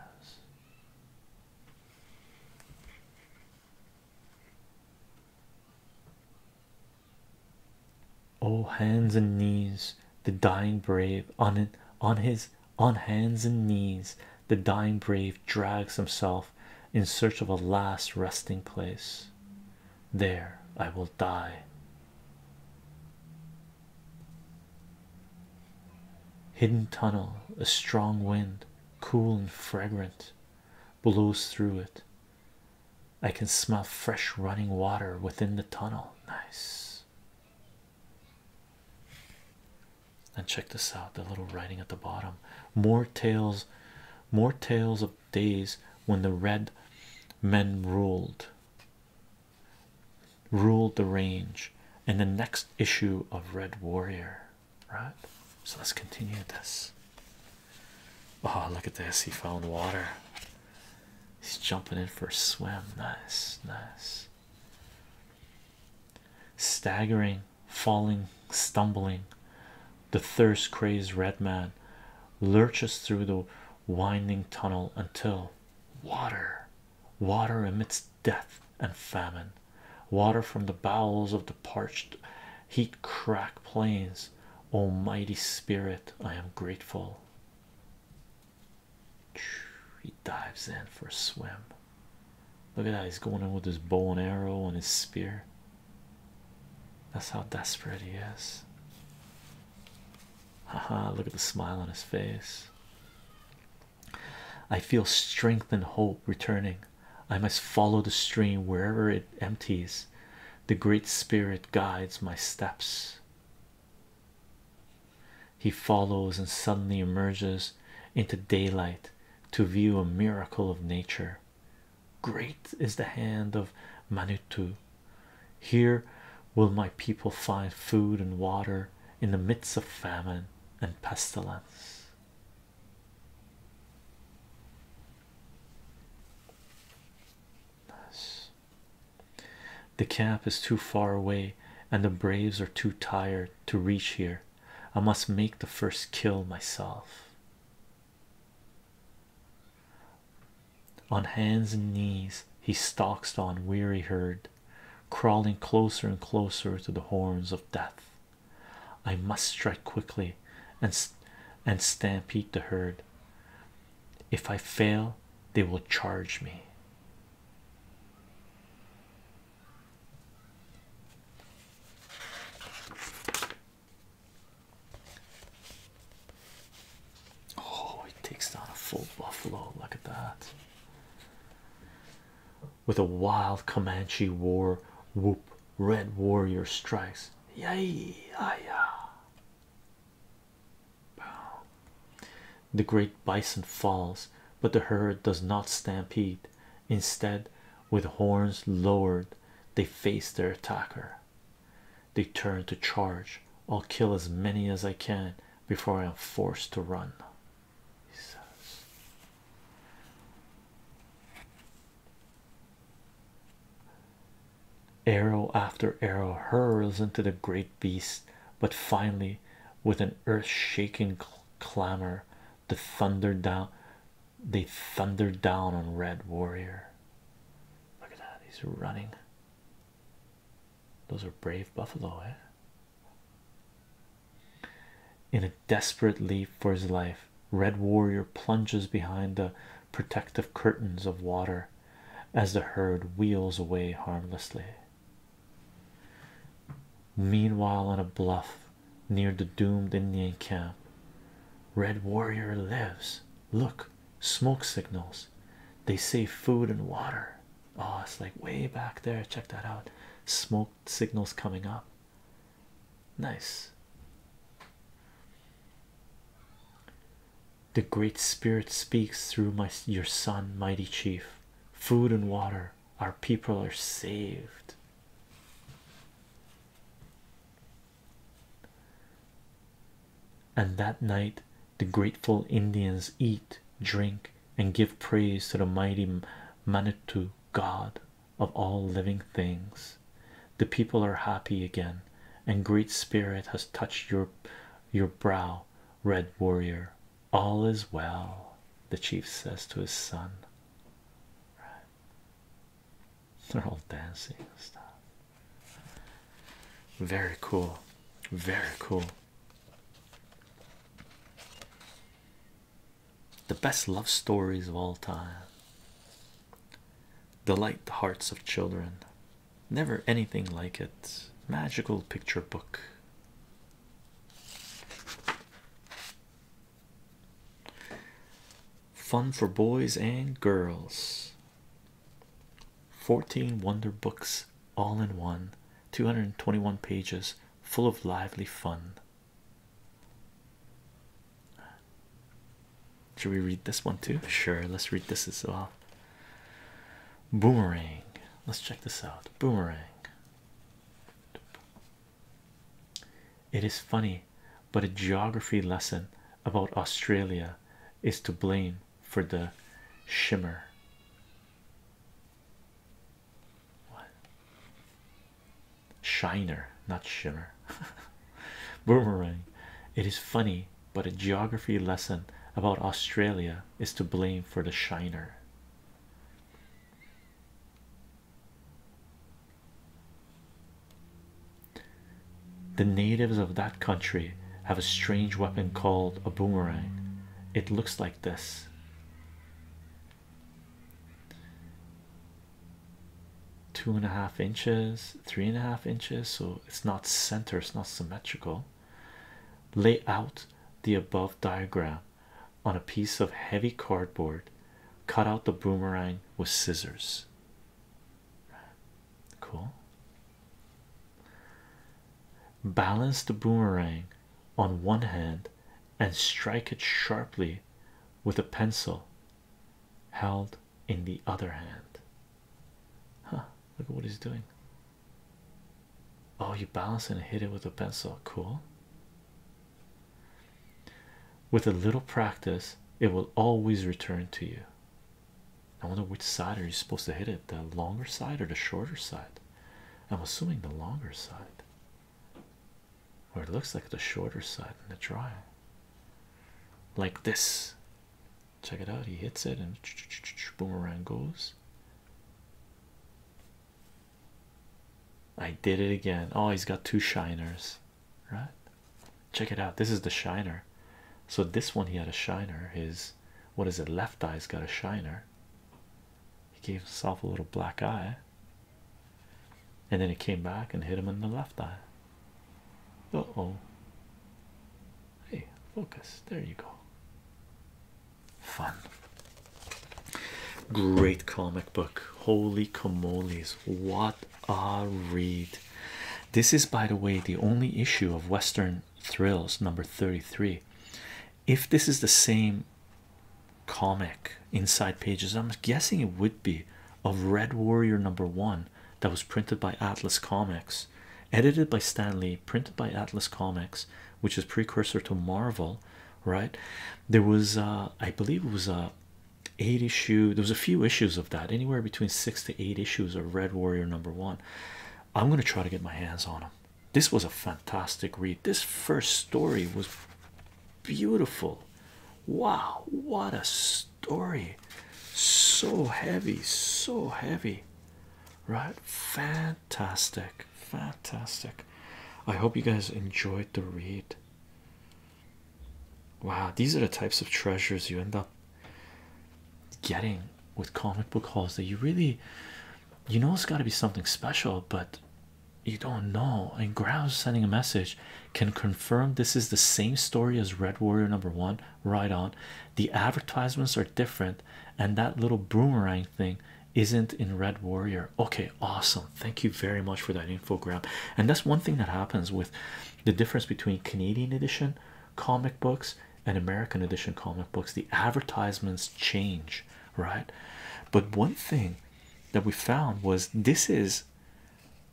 Oh, hands and knees, the dying brave on it on his on hands and knees, the dying brave drags himself in search of a last resting place. There I will die. Hidden tunnel, a strong wind, cool and fragrant, blows through it. I can smell fresh running water within the tunnel. Nice. And check this out the little writing at the bottom more tales, more tales of days when the red men ruled, ruled the range, In the next issue of Red Warrior, right? So let's continue this. Oh, look at this! He found water. He's jumping in for a swim. Nice, nice. Staggering, falling, stumbling, the thirst crazed red man lurches through the winding tunnel until water, water amidst death and famine, water from the bowels of the parched heat crack plains. Almighty Spirit, I am grateful. He dives in for a swim. Look at that, he's going in with his bow and arrow and his spear. That's how desperate he is. Haha, look at the smile on his face. I feel strength and hope returning. I must follow the stream wherever it empties. The Great Spirit guides my steps. He follows and suddenly emerges into daylight to view a miracle of nature. Great is the hand of Manitou. Here will my people find food and water in the midst of famine and pestilence. Nice. The camp is too far away, and the braves are too tired to reach here. I must make the first kill myself. On hands and knees, he stalks on weary herd, crawling closer and closer to the horns of death. I must strike quickly and, and stampede the herd. If I fail, they will charge me. Oh, he takes down a full buffalo. Look at that. With a wild Comanche war whoop, red warrior strikes. Yay! Ah. The great bison falls, but the herd does not stampede. Instead, with horns lowered, they face their attacker. They turn to charge. I'll kill as many as I can before I am forced to run. He says. Arrow after arrow hurls into the great beast, but finally, with an earth-shaking clamor, the thunder down they thundered down on Red Warrior. Look at that, he's running. Those are brave buffalo, eh? In a desperate leap for his life, Red Warrior plunges behind the protective curtains of water as the herd wheels away harmlessly. Meanwhile, on a bluff near the doomed Indian camp, Red Warrior lives. Look, smoke signals. They say food and water. Oh, it's like way back there. Check that out. Smoke signals coming up. Nice. The Great Spirit speaks through my your son, mighty chief. Food and water, our people are saved. And that night, the grateful Indians eat, drink, and give praise to the mighty Manitou, God of all living things. The people are happy again, and Great Spirit has touched your your brow Red Warrior, all is well, the chief says to his son. They're all dancing and stuff. Very cool, very cool. The best love stories of all time delight the hearts of children Never anything like it. Magical picture book. Fun for boys and girls. 14 Wonder Books all in one. 221 pages full of lively fun. Should we read this one too? Sure, let's read this as well. Boomerang. Let's check this out. Boomerang. It is funny, but a geography lesson about Australia is to blame for the shimmer. What? Shiner, not shimmer. Boomerang. It is funny, but a geography lesson about Australia is to blame for the shiner. The natives of that country have a strange weapon called a boomerang. It looks like this. Two and a half inches, three and a half inches, so it's not center, it's not symmetrical. Lay out the above diagram on a piece of heavy cardboard, cut out the boomerang with scissors. Cool. Balance the boomerang on one hand and strike it sharply with a pencil held in the other hand. Huh, look at what he's doing. Oh, you balance and hit it with a pencil. Cool. With a little practice, it will always return to you. I wonder which side are you supposed to hit it? The longer side or the shorter side? I'm assuming the longer side. Or it looks like the shorter side in the drawing. Like this. Check it out. He hits it and boom boomerang goes. I did it again. Oh, he's got two shiners, right? Check it out. This is the shiner. So, this one he had a shiner. His what is it? Left eye's got a shiner. He gave himself a little black eye, and then he came back and hit him in the left eye. Uh oh. Hey, focus. There you go fun great comic book holy kamolies, what a read this is by the way the only issue of western thrills number 33 if this is the same comic inside pages i'm guessing it would be of red warrior number one that was printed by atlas comics edited by stanley printed by Atlas Comics, which is precursor to Marvel, right? There was, uh, I believe, it was a uh, eight issue. There was a few issues of that, anywhere between six to eight issues of Red Warrior number one. I'm gonna try to get my hands on them. This was a fantastic read. This first story was beautiful. Wow, what a story! So heavy, so heavy, right? Fan fantastic fantastic i hope you guys enjoyed the read wow these are the types of treasures you end up getting with comic book hauls that you really you know it's got to be something special but you don't know and grouse sending a message can confirm this is the same story as red warrior number one right on the advertisements are different and that little boomerang thing isn't in Red Warrior. Okay, awesome. Thank you very much for that infographic. And that's one thing that happens with the difference between Canadian edition comic books and American edition comic books. The advertisements change, right? But one thing that we found was this is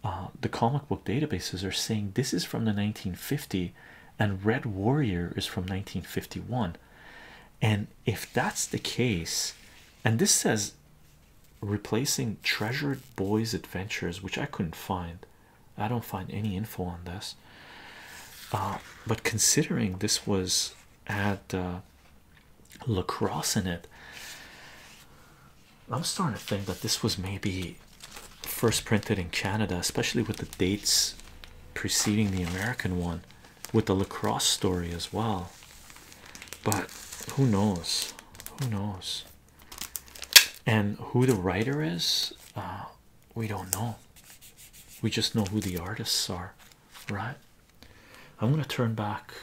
uh, the comic book databases are saying this is from the 1950 and Red Warrior is from 1951 and if that's the case and this says replacing treasured boys adventures which i couldn't find i don't find any info on this uh, but considering this was at uh, lacrosse in it i'm starting to think that this was maybe first printed in canada especially with the dates preceding the american one with the lacrosse story as well. But who knows? Who knows? And who the writer is, uh, we don't know. We just know who the artists are, right? I'm gonna turn back,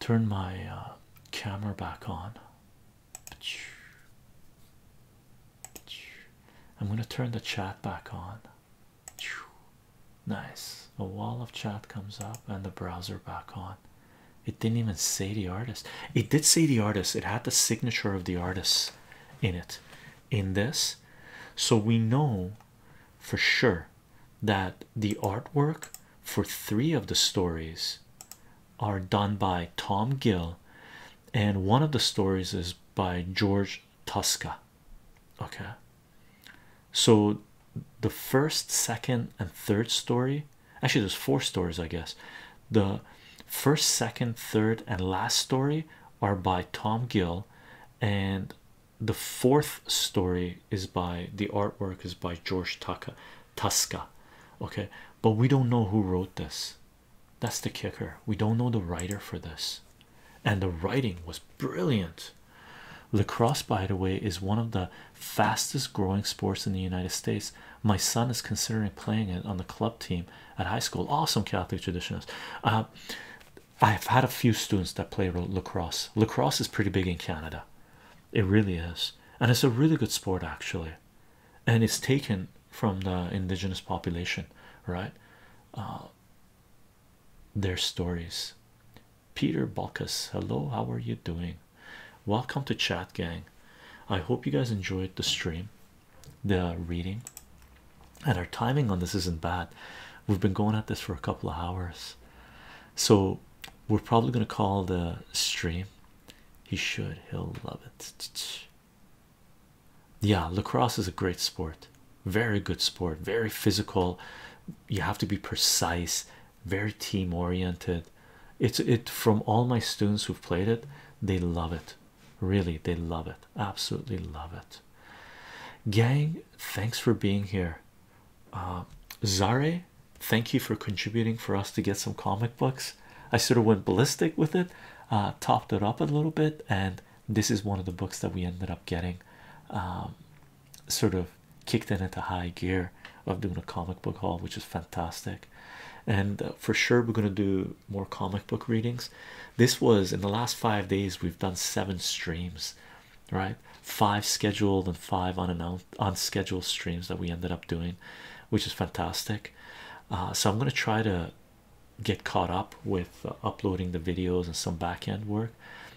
turn my uh, camera back on. I'm gonna turn the chat back on. Nice. A wall of chat comes up and the browser back on. It didn't even say the artist. It did say the artist. It had the signature of the artist in it in this. So we know for sure that the artwork for three of the stories are done by Tom Gill and one of the stories is by George Tosca. Okay, so the first, second, and third story actually, there's four stories, I guess. The first, second, third, and last story are by Tom Gill, and the fourth story is by the artwork is by George Tucker Tuska. Okay, but we don't know who wrote this. That's the kicker. We don't know the writer for this and the writing was brilliant. Lacrosse, by the way, is one of the fastest growing sports in the United States. My son is considering playing it on the club team at high school. Awesome Catholic traditionalist. Uh, I've had a few students that play lacrosse. Lacrosse is pretty big in Canada, it really is, and it's a really good sport actually, and it's taken from the indigenous population, right? Uh, their stories. Peter Bockus, hello, how are you doing? Welcome to chat, gang. I hope you guys enjoyed the stream, the reading, and our timing on this isn't bad. We've been going at this for a couple of hours, so we're probably going to call the stream. He should, he'll love it yeah lacrosse is a great sport very good sport very physical you have to be precise very team oriented it's it from all my students who've played it they love it really they love it absolutely love it gang thanks for being here um, zare thank you for contributing for us to get some comic books i sort of went ballistic with it uh, topped it up a little bit and this is one of the books that we ended up getting um, sort of kicked into high gear of doing a comic book haul which was fantastic and uh, for sure we're going to do more comic book readings this was in the last five days we've done seven streams right five scheduled and five on on scheduled streams that we ended up doing which is fantastic uh, so i'm going to try to get caught up with uh, uploading the videos and some back-end work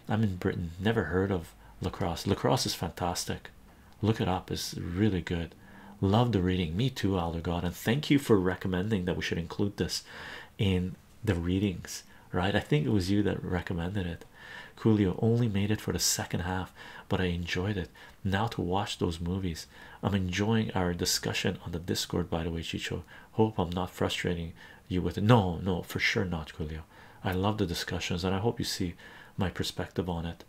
i'm in britain never heard of lacrosse lacrosse is fantastic look it up it's really good love the reading me too elder and thank you for recommending that we should include this in the readings right i think it was you that recommended it Julio only made it for the second half but i enjoyed it now to watch those movies i'm enjoying our discussion on the discord by the way chicho hope i'm not frustrating you with it. No, no, for sure not, Julio. I love the discussions, and I hope you see my perspective on it.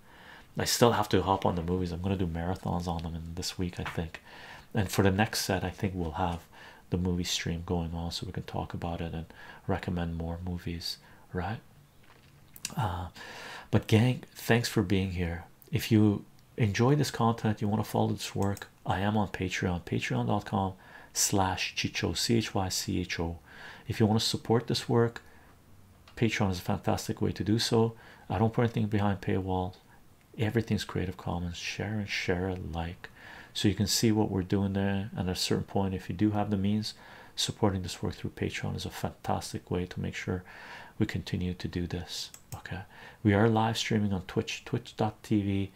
I still have to hop on the movies. I'm gonna do marathons on them in this week, I think. And for the next set, I think we'll have the movie stream going on so we can talk about it and recommend more movies, right? Uh, but gang, thanks for being here. If you enjoy this content, you want to follow this work, I am on Patreon, patreon.com slash chicho c-h-y-c-h-o if you want to support this work patreon is a fantastic way to do so i don't put anything behind paywall everything's creative commons share and share alike so you can see what we're doing there and at a certain point if you do have the means supporting this work through patreon is a fantastic way to make sure we continue to do this okay we are live streaming on twitch twitch.tv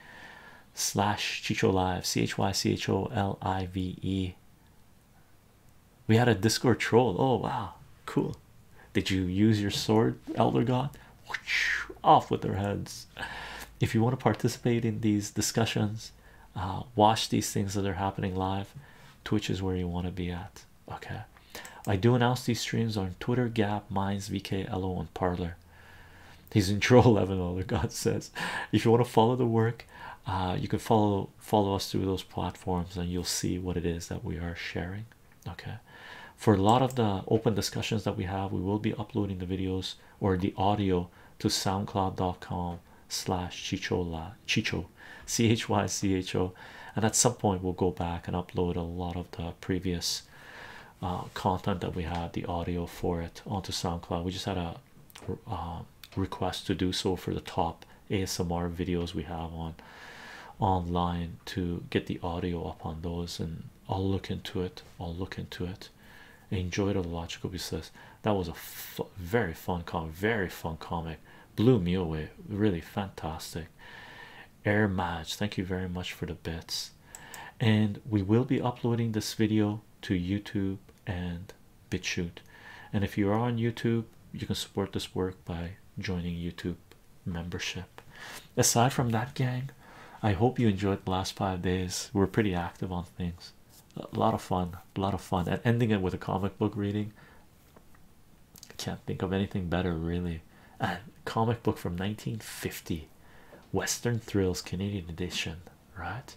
slash chicho live c h y c h o l i v e. We had a Discord troll. Oh wow, cool! Did you use your sword, Elder God? Off with their heads. If you want to participate in these discussions, uh, watch these things that are happening live. Twitch is where you want to be at. Okay, I do announce these streams on Twitter, Gap, Minds, VK, LO, and Parlor he's in troll level the god says if you want to follow the work uh, you can follow follow us through those platforms and you'll see what it is that we are sharing okay for a lot of the open discussions that we have we will be uploading the videos or the audio to soundcloud.com slash chichola chicho c-h-y-c-h-o and at some point we'll go back and upload a lot of the previous uh, content that we had the audio for it onto SoundCloud. We just had a uh, request to do so for the top ASMR videos we have on online to get the audio up on those, and I'll look into it. I'll look into it. Enjoyed it. Logical says that was a very fun comic, very fun comic. Blew me away. Really fantastic. Air Match, thank you very much for the bits and we will be uploading this video to youtube and bitchute and if you are on youtube you can support this work by joining youtube membership aside from that gang i hope you enjoyed the last five days we're pretty active on things a lot of fun a lot of fun and ending it with a comic book reading can't think of anything better really a comic book from 1950 Western Thrills Canadian edition, right?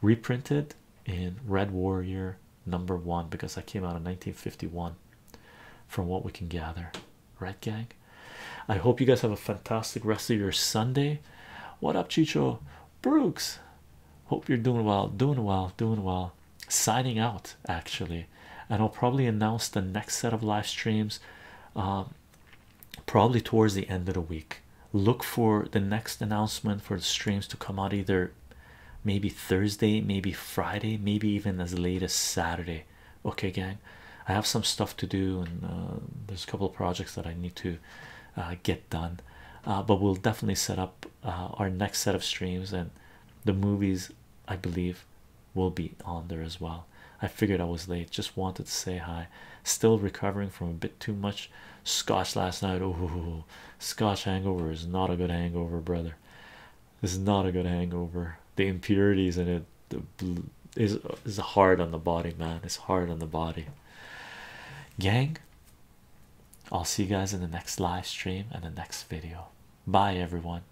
Reprinted in Red Warrior number one because that came out in 1951, from what we can gather, Red gang? I hope you guys have a fantastic rest of your Sunday. What up, Chicho Brooks? Hope you're doing well, doing well, doing well. Signing out actually, and I'll probably announce the next set of live streams um, probably towards the end of the week. Look for the next announcement for the streams to come out either maybe Thursday, maybe Friday, maybe even as late as Saturday. Okay, gang, I have some stuff to do, and uh, there's a couple of projects that I need to uh, get done. Uh, but we'll definitely set up our next set of streams, and the movies I believe will be on there as well. I figured I was late, just wanted to say hi. Still recovering from a bit too much scotch last night. Oh, scotch hangover is not a good hangover, brother. This is not a good hangover. The impurities in it is is hard on the body, man. It's hard on the body, gang. I'll see you guys in the next live stream and the next video. Bye, everyone.